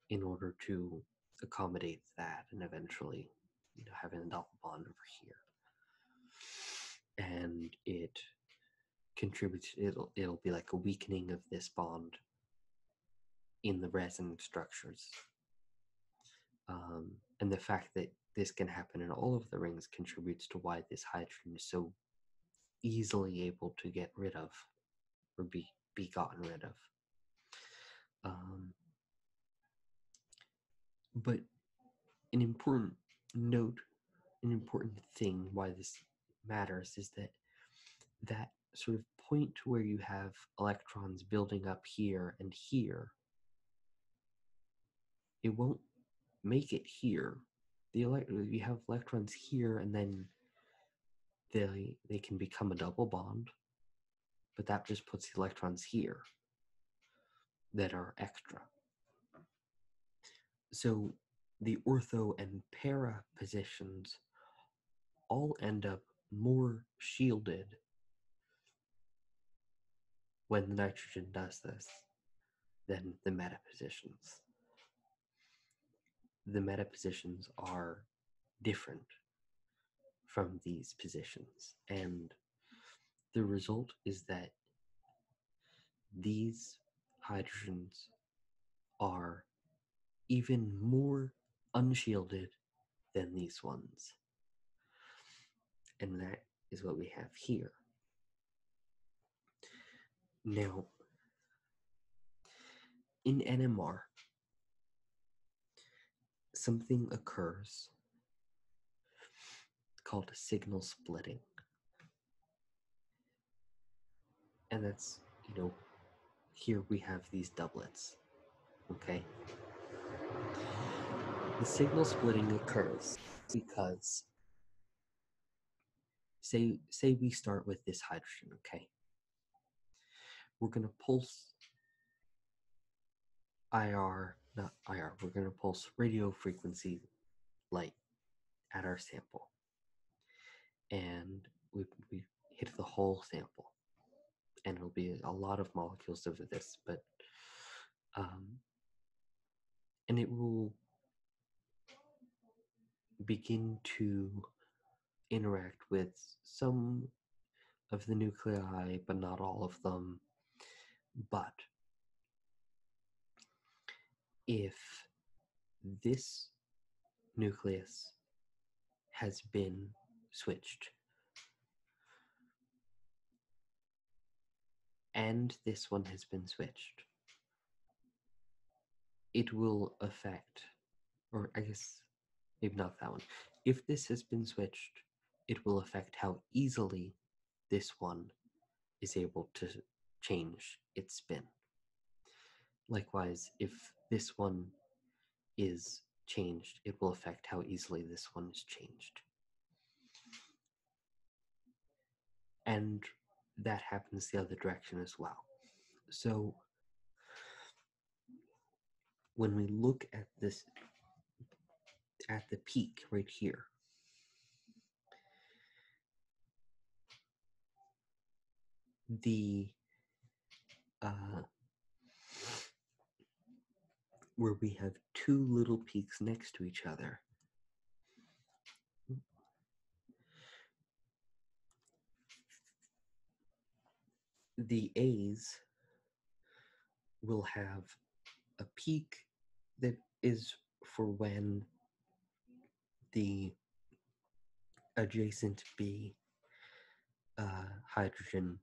in order to accommodate that and eventually having a double bond over here and it contributes it'll it'll be like a weakening of this bond in the resin structures um, and the fact that this can happen in all of the rings contributes to why this hydrogen is so easily able to get rid of or be, be gotten rid of um, but an important note, an important thing why this matters is that that sort of point where you have electrons building up here and here, it won't make it here. The you have electrons here and then they they can become a double bond but that just puts the electrons here that are extra. So the ortho and para positions all end up more shielded when the nitrogen does this than the meta positions. The meta positions are different from these positions. And the result is that these hydrogens are even more unshielded than these ones. And that is what we have here. Now, in NMR, something occurs called signal splitting. And that's, you know, here we have these doublets, okay? The signal splitting occurs because say say we start with this hydrogen, okay? We're going to pulse IR, not IR, we're going to pulse radio frequency light at our sample. And we, we hit the whole sample. And it'll be a lot of molecules over this, but, um, and it will begin to interact with some of the nuclei, but not all of them. But if this nucleus has been switched and this one has been switched, it will affect, or I guess maybe not that one. If this has been switched, it will affect how easily this one is able to change its spin. Likewise, if this one is changed, it will affect how easily this one is changed. And that happens the other direction as well. So when we look at this at the peak right here the uh, where we have two little peaks next to each other the a's will have a peak that is for when the adjacent B uh, hydrogen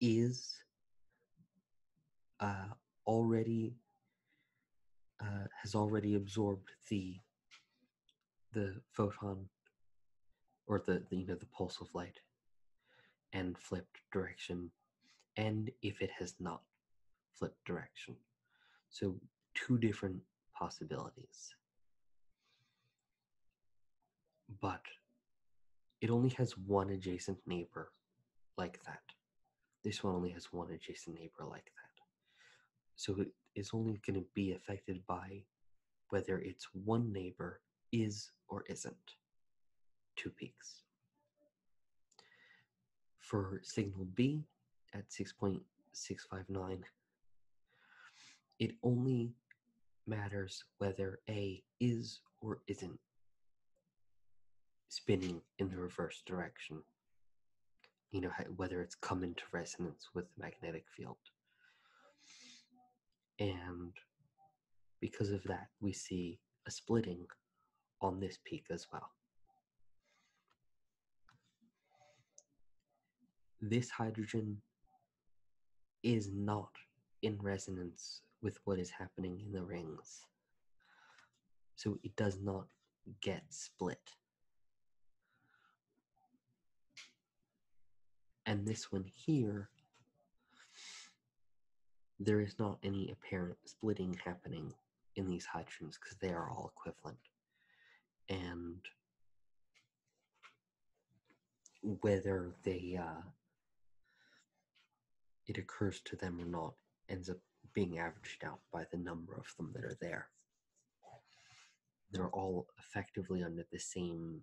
is uh, already uh, has already absorbed the the photon or the, you know the pulse of light and flipped direction and if it has not flipped direction so two different possibilities but it only has one adjacent neighbor like that this one only has one adjacent neighbor like that so it is only going to be affected by whether it's one neighbor is or isn't. Two peaks. For signal B at 6.659, it only matters whether A is or isn't spinning in the reverse direction. You know, whether it's come into resonance with the magnetic field. And because of that, we see a splitting on this peak as well. This hydrogen is not in resonance with what is happening in the rings. So it does not get split and this one here, there is not any apparent splitting happening in these hydrogens because they are all equivalent. And whether they uh, it occurs to them or not ends up being averaged out by the number of them that are there. They're all effectively under the same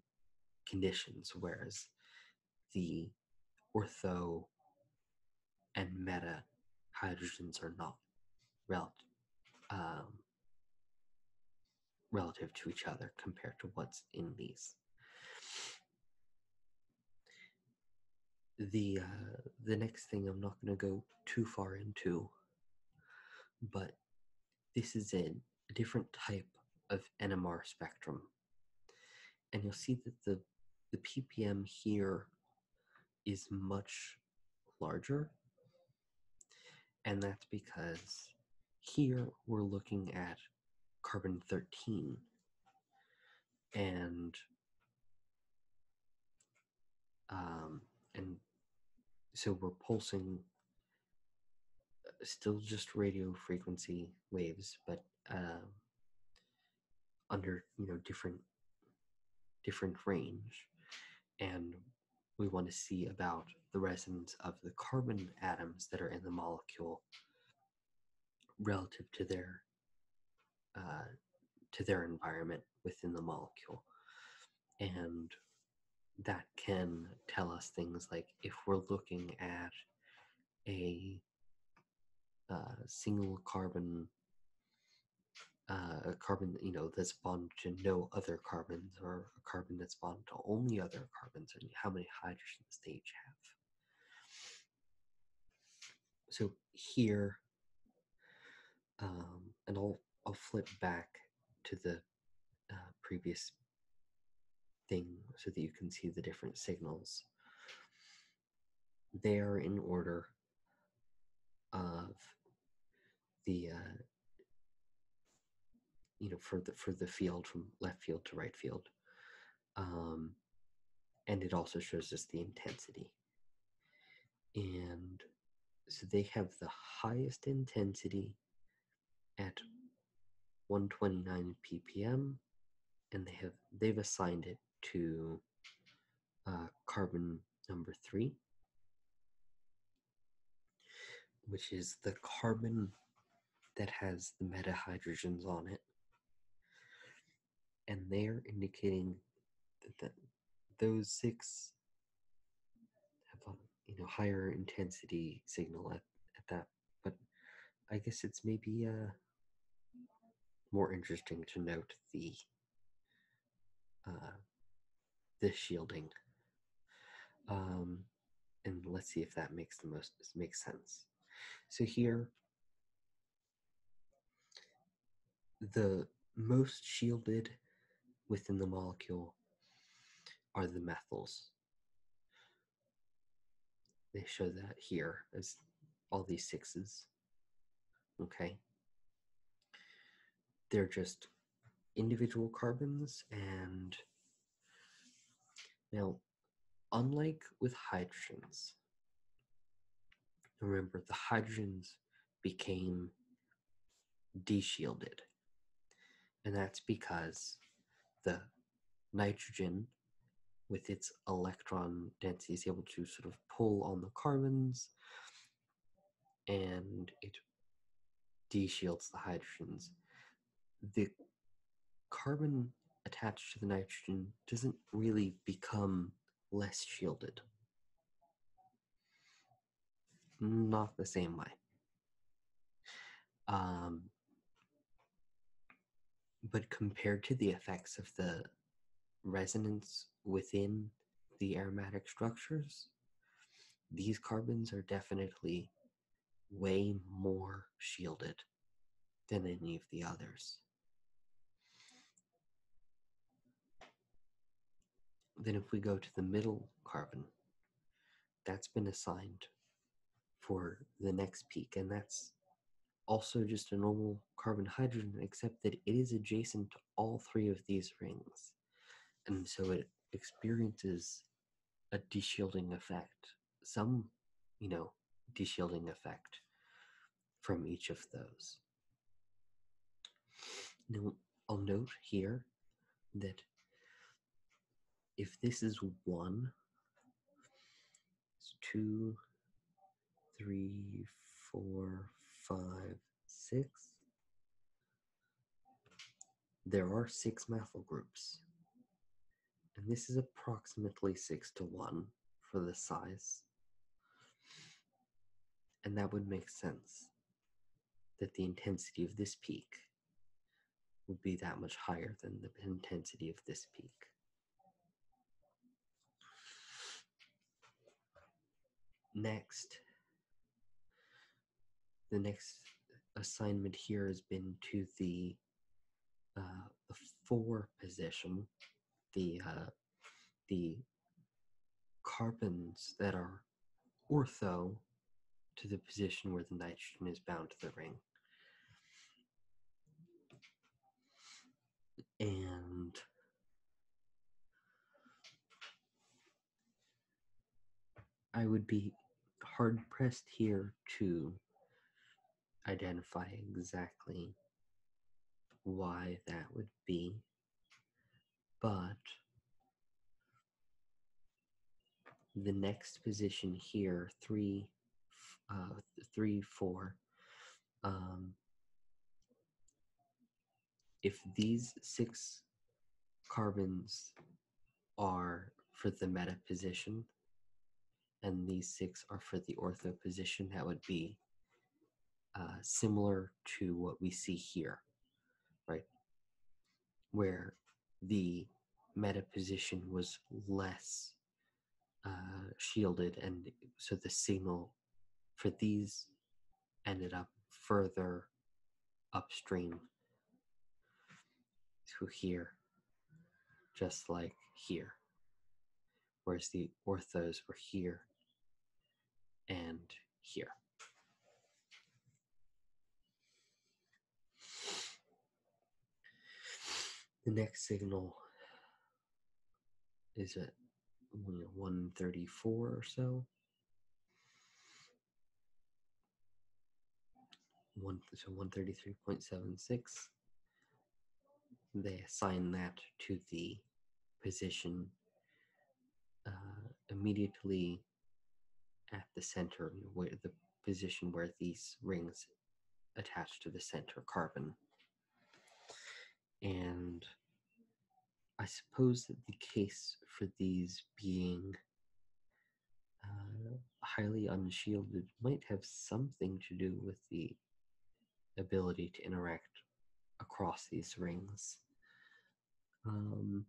conditions, whereas the ortho and meta hydrogens are not um, relative to each other compared to what's in these. The uh, the next thing I'm not going to go too far into, but this is a different type of NMR spectrum. And you'll see that the, the ppm here is much larger. And that's because here we're looking at carbon 13 and um, and so we're pulsing uh, still just radio frequency waves, but um, under you know different different range, and we want to see about the resonance of the carbon atoms that are in the molecule relative to their uh, to their environment within the molecule, and that can tell us things like if we're looking at a uh, single carbon uh, carbon you know that's bonded to no other carbons or a carbon that's bonded to only other carbons and how many hydrogens they each have so here um, and I'll I'll flip back to the uh, previous thing so that you can see the different signals. They are in order of the uh, you know for the for the field from left field to right field, um, and it also shows us the intensity. And so they have the highest intensity at 129 ppm and they have they've assigned it to uh, carbon number three which is the carbon that has the meta hydrogens on it and they're indicating that those six have a you know higher intensity signal at, at that but I guess it's maybe uh, more interesting to note the uh, the shielding. Um, and let's see if that makes the most makes sense. So here, the most shielded within the molecule are the methyls. They show that here as all these sixes. Okay. They're just individual carbons and now unlike with hydrogens remember the hydrogens became deshielded and that's because the nitrogen with its electron density is able to sort of pull on the carbons and it de-shields the hydrogens. The carbon attached to the nitrogen doesn't really become less shielded. Not the same way. Um, but compared to the effects of the resonance within the aromatic structures, these carbons are definitely way more shielded than any of the others. Then, if we go to the middle carbon, that's been assigned for the next peak and that's also just a normal carbon hydrogen except that it is adjacent to all three of these rings and so it experiences a deshielding effect some you know deshielding effect from each of those now i'll note here that if this is one, it's two, three, four, five, six. There are six methyl groups. And this is approximately six to one for the size. And that would make sense that the intensity of this peak would be that much higher than the intensity of this peak. Next, the next assignment here has been to the, uh, the four position, the uh, the carbons that are ortho to the position where the nitrogen is bound to the ring. And I would be hard pressed here to identify exactly why that would be, but the next position here, three, uh, four, um, if these six carbons are for the meta position and these six are for the ortho position, that would be uh, similar to what we see here, right? Where the meta position was less uh, shielded, and so the signal for these ended up further upstream to here, just like here. Whereas the orthos were here and here. The next signal is at 134 or so. One, so 133.76. They assign that to the position uh, immediately at the center, where the position where these rings attached to the center carbon. And I suppose that the case for these being uh, highly unshielded might have something to do with the ability to interact across these rings. Um,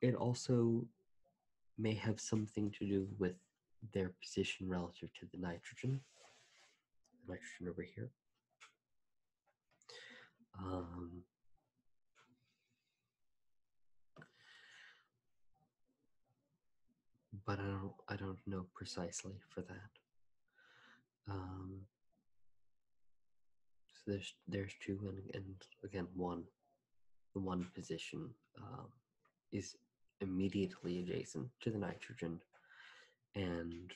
it also may have something to do with their position relative to the nitrogen. nitrogen over here. Um, but I don't I don't know precisely for that. Um, so there's there's two and, and again one the one position um, is immediately adjacent to the nitrogen and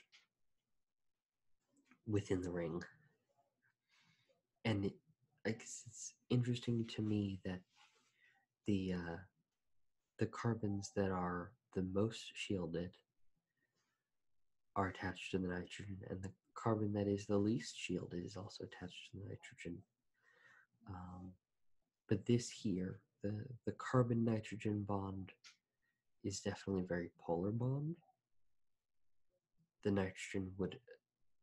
within the ring. And it, like it's interesting to me that the uh, the carbons that are the most shielded are attached to the nitrogen, and the carbon that is the least shielded is also attached to the nitrogen. Um, but this here, the, the carbon nitrogen bond is definitely very polar bond. The nitrogen would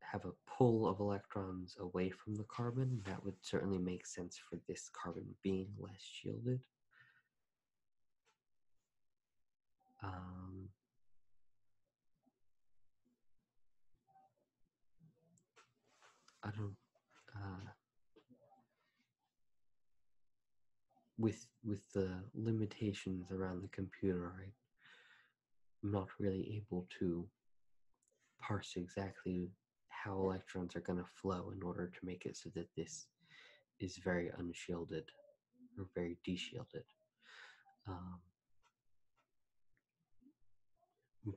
have a pull of electrons away from the carbon. That would certainly make sense for this carbon being less shielded. Um, I don't uh, with with the limitations around the computer, I'm not really able to parse exactly how electrons are going to flow in order to make it so that this is very unshielded or very deshielded. Um,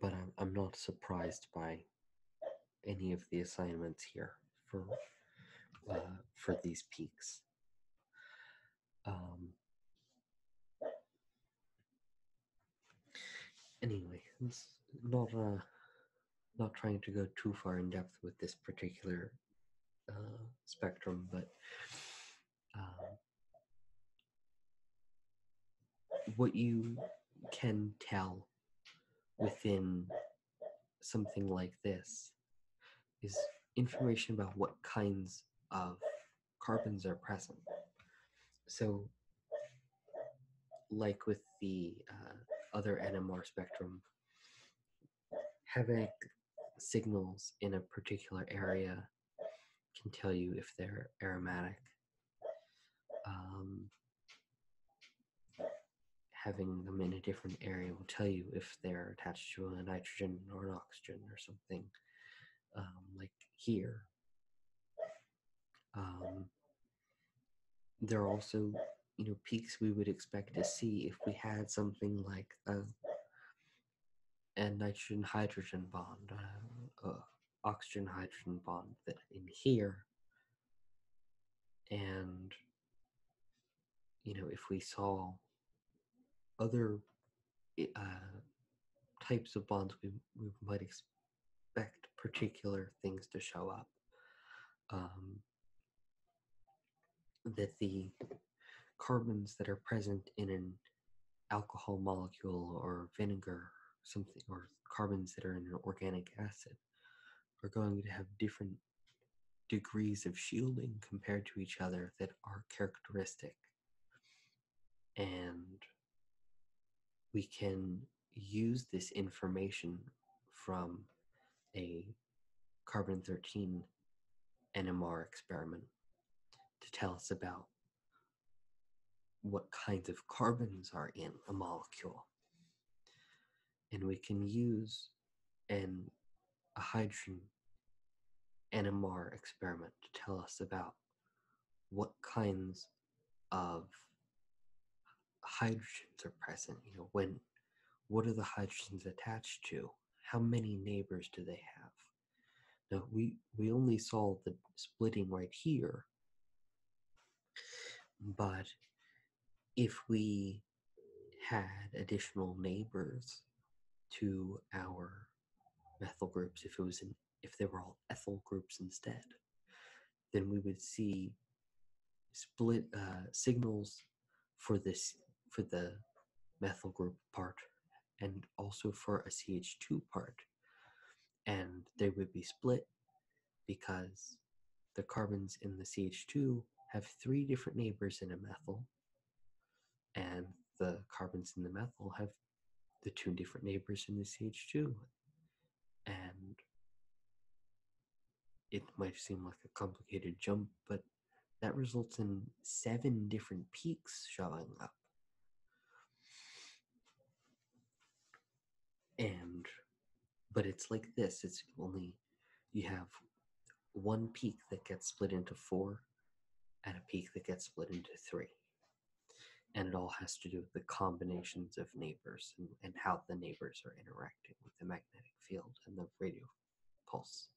but I'm, not surprised by any of the assignments here for uh, for these peaks. Um, anyway, it's not uh, not trying to go too far in depth with this particular uh, spectrum, but um, what you can tell within something like this is information about what kinds of carbons are present. So, like with the uh, other NMR spectrum, having signals in a particular area can tell you if they're aromatic. Um, having them in a different area will tell you if they're attached to a nitrogen or an oxygen or something um, like here. Um, there are also, you know, peaks we would expect to see if we had something like a, nitrogen hydrogen bond, uh, uh, oxygen hydrogen bond that in here. And, you know, if we saw other uh, types of bonds, we, we might expect particular things to show up. Um, that the carbons that are present in an alcohol molecule or vinegar something or carbons that are in an organic acid are going to have different degrees of shielding compared to each other that are characteristic. And we can use this information from a carbon 13 NMR experiment to tell us about what kinds of carbons are in a molecule. And we can use an, a hydrogen NMR experiment to tell us about what kinds of hydrogens are present. You know, when what are the hydrogens attached to? How many neighbors do they have? Now we we only saw the splitting right here, but if we had additional neighbors to our methyl groups, if it was in, if they were all ethyl groups instead, then we would see split uh, signals for this for the methyl group part and also for a CH2 part and they would be split because the carbons in the CH2 have three different neighbors in a methyl, and the carbons in the methyl have the two different neighbors in the CH2. And it might seem like a complicated jump, but that results in seven different peaks showing up and but it's like this it's only you have one peak that gets split into four and a peak that gets split into three and it all has to do with the combinations of neighbors and, how the neighbors are interacting with the magnetic field and the radio pulse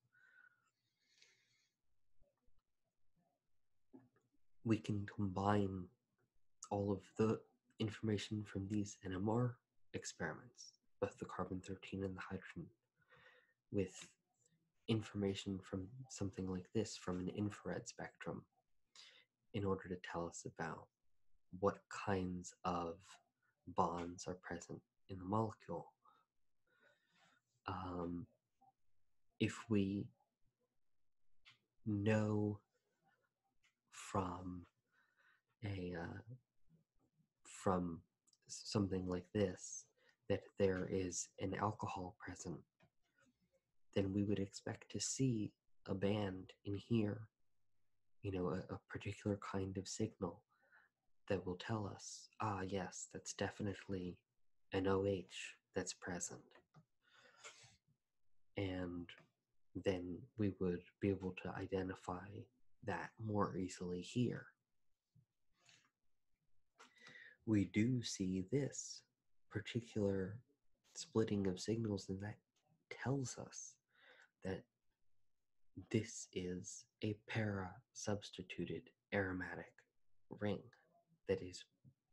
we can combine all of the information from these NMR experiments, both the carbon 13 and the hydrogen, with information from something like this from an infrared spectrum in order to tell us about what kinds of bonds are present in the molecule. Um, if we know from a uh, from something like this that there is an alcohol present, then we would expect to see a band in here, you know, a particular kind of signal that will tell us, ah, yes, that's definitely an OH that's present and then we would be able to identify that more easily here. We do see this particular splitting of signals, and that tells us that this is a para substituted aromatic ring that is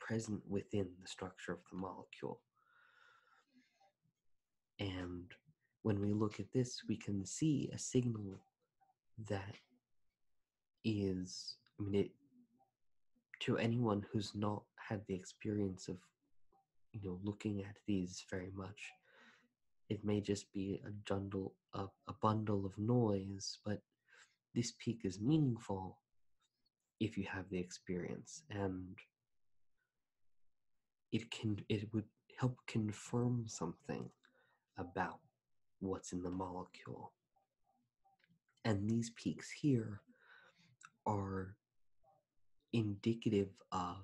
present within the structure of the molecule. And when we look at this, we can see a signal that is, I mean, it, to anyone who's not had the experience of, you know, looking at these very much, it may just be a bundle, a bundle of noise, but this peak is meaningful if you have the experience and it can it would help confirm something about what's in the molecule and these peaks here are indicative of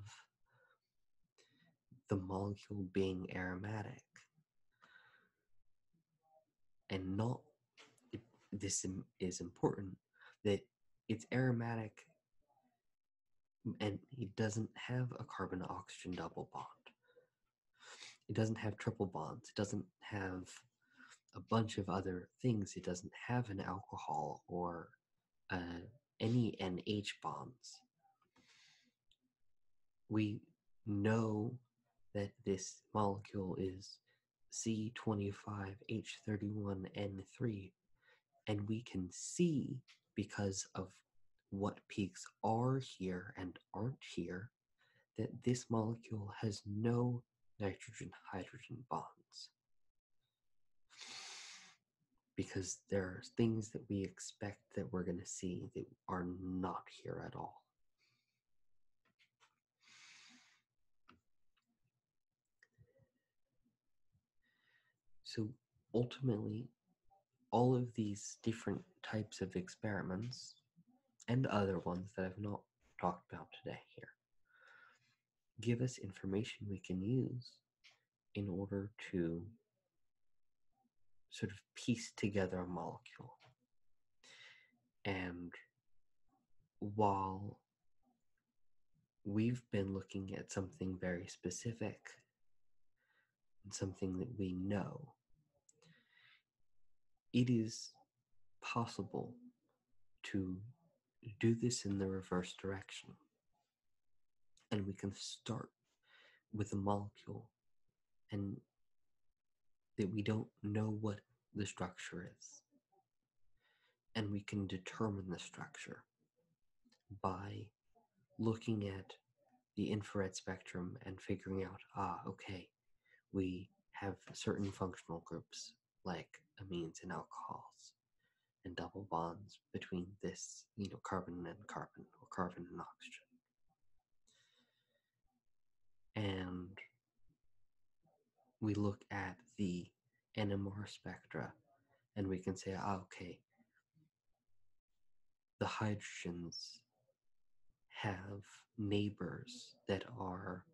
the molecule being aromatic and not this is important that it's aromatic and it doesn't have a carbon oxygen double bond. It doesn't have triple bonds. It doesn't have a bunch of other things. It doesn't have an alcohol or uh, any NH bonds. We know that this molecule is C25H31N3, and we can see because of what peaks are here and aren't here that this molecule has no nitrogen hydrogen bonds. Because there are things that we expect that we're going to see that are not here at all. So ultimately, all of these different types of experiments and other ones that I've not talked about today here give us information we can use in order to sort of piece together a molecule. And while we've been looking at something very specific something that we know. It is possible to do this in the reverse direction. And we can start with a molecule and that we don't know what the structure is and we can determine the structure by looking at the infrared spectrum and figuring out ah, okay, we have certain functional groups like amines and alcohols and double bonds between this, you know, carbon and carbon or carbon and oxygen. And we look at the NMR spectra and we can say, ah, okay, the hydrogens have neighbors that are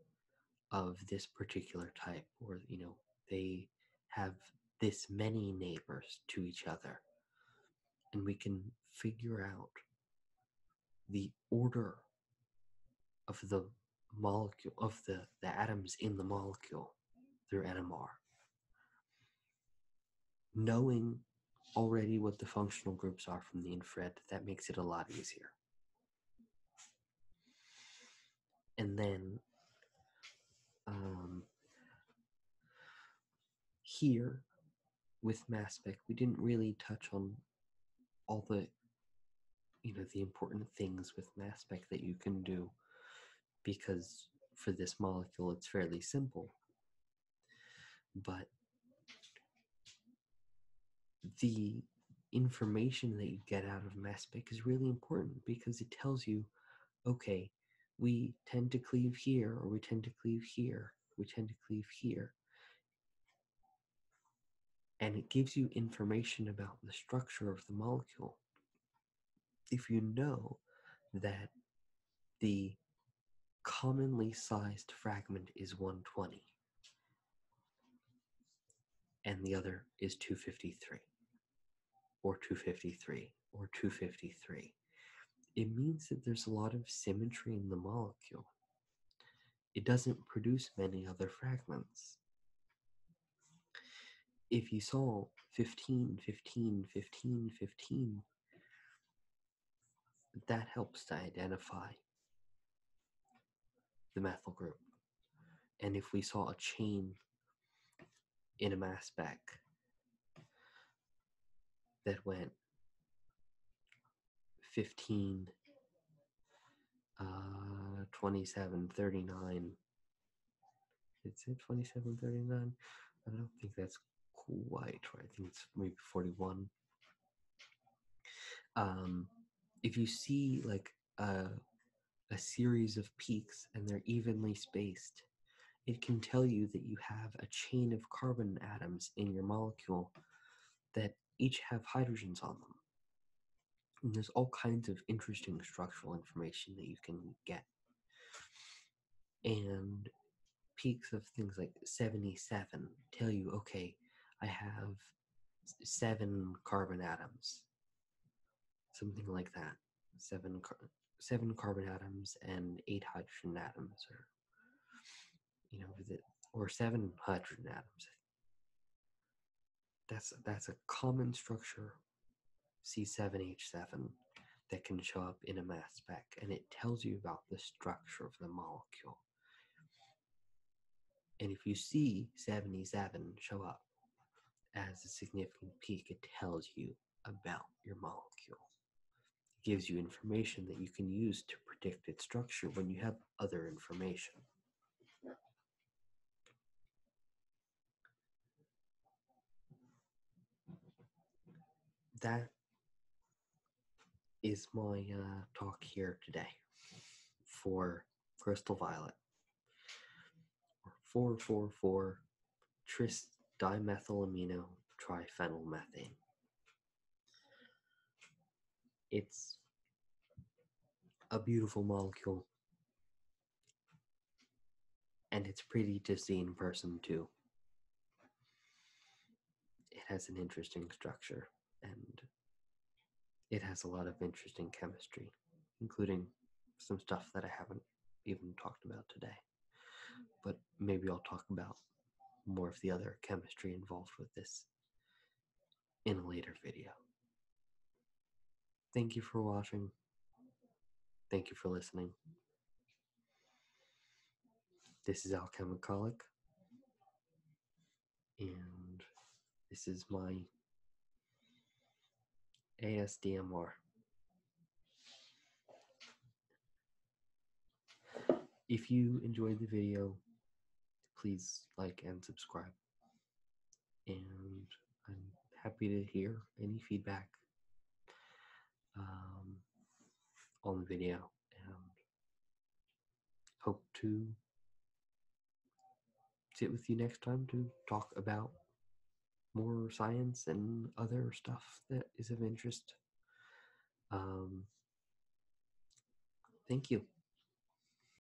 of this particular type, or, you know, they have this many neighbors to each other. And we can figure out the order of the molecule of the, the atoms in the molecule through NMR. Knowing already what the functional groups are from the infrared, that makes it a lot easier. And then um, here with mass spec, we didn't really touch on all the you know the important things with mass spec that you can do because for this molecule it's fairly simple but the information that you get out of mass spec is really important because it tells you okay we tend to cleave here or we tend to cleave here we tend to cleave here and it gives you information about the structure of the molecule. If you know that the commonly sized fragment is 120 and the other is 253 or 253 or 253, it means that there's a lot of symmetry in the molecule it doesn't produce many other fragments. If you saw 15, 15, 15, 15, that helps to identify the methyl group. And if we saw a chain in a mass spec that went 15 uh, 2739. It's it 2739? I don't think that's quite right. I think it's maybe 41. Um, if you see like a, a series of peaks and they're evenly spaced, it can tell you that you have a chain of carbon atoms in your molecule that each have hydrogens on them. And there's all kinds of interesting structural information that you can get. And peaks of things like 77 tell you, okay, I have seven carbon atoms, something like that. Seven, seven carbon atoms and eight hydrogen atoms, or you know, or seven hydrogen atoms, that's that's a common structure, C7H7, that can show up in a mass spec, and it tells you about the structure of the molecule. And if you see 77 show up as a significant peak, it tells you about your molecule. It gives you information that you can use to predict its structure when you have other information. That is my uh, talk here today for Crystal Violet or 444 tris dimethylamino triphenylmethane it's a beautiful molecule. And it's pretty to see in person, too. It has an interesting structure and it has a lot of interesting chemistry, including some stuff that I haven't even talked about today. But maybe I'll talk about more of the other chemistry involved with this in a later video. Thank you for watching. Thank you for listening. This is Alchemicolic, and this is my ASDMR. If you enjoyed the video, please like and subscribe and I'm happy to hear any feedback um, on the video and hope to sit with you next time to talk about more science and other stuff that is of interest. Um, thank you.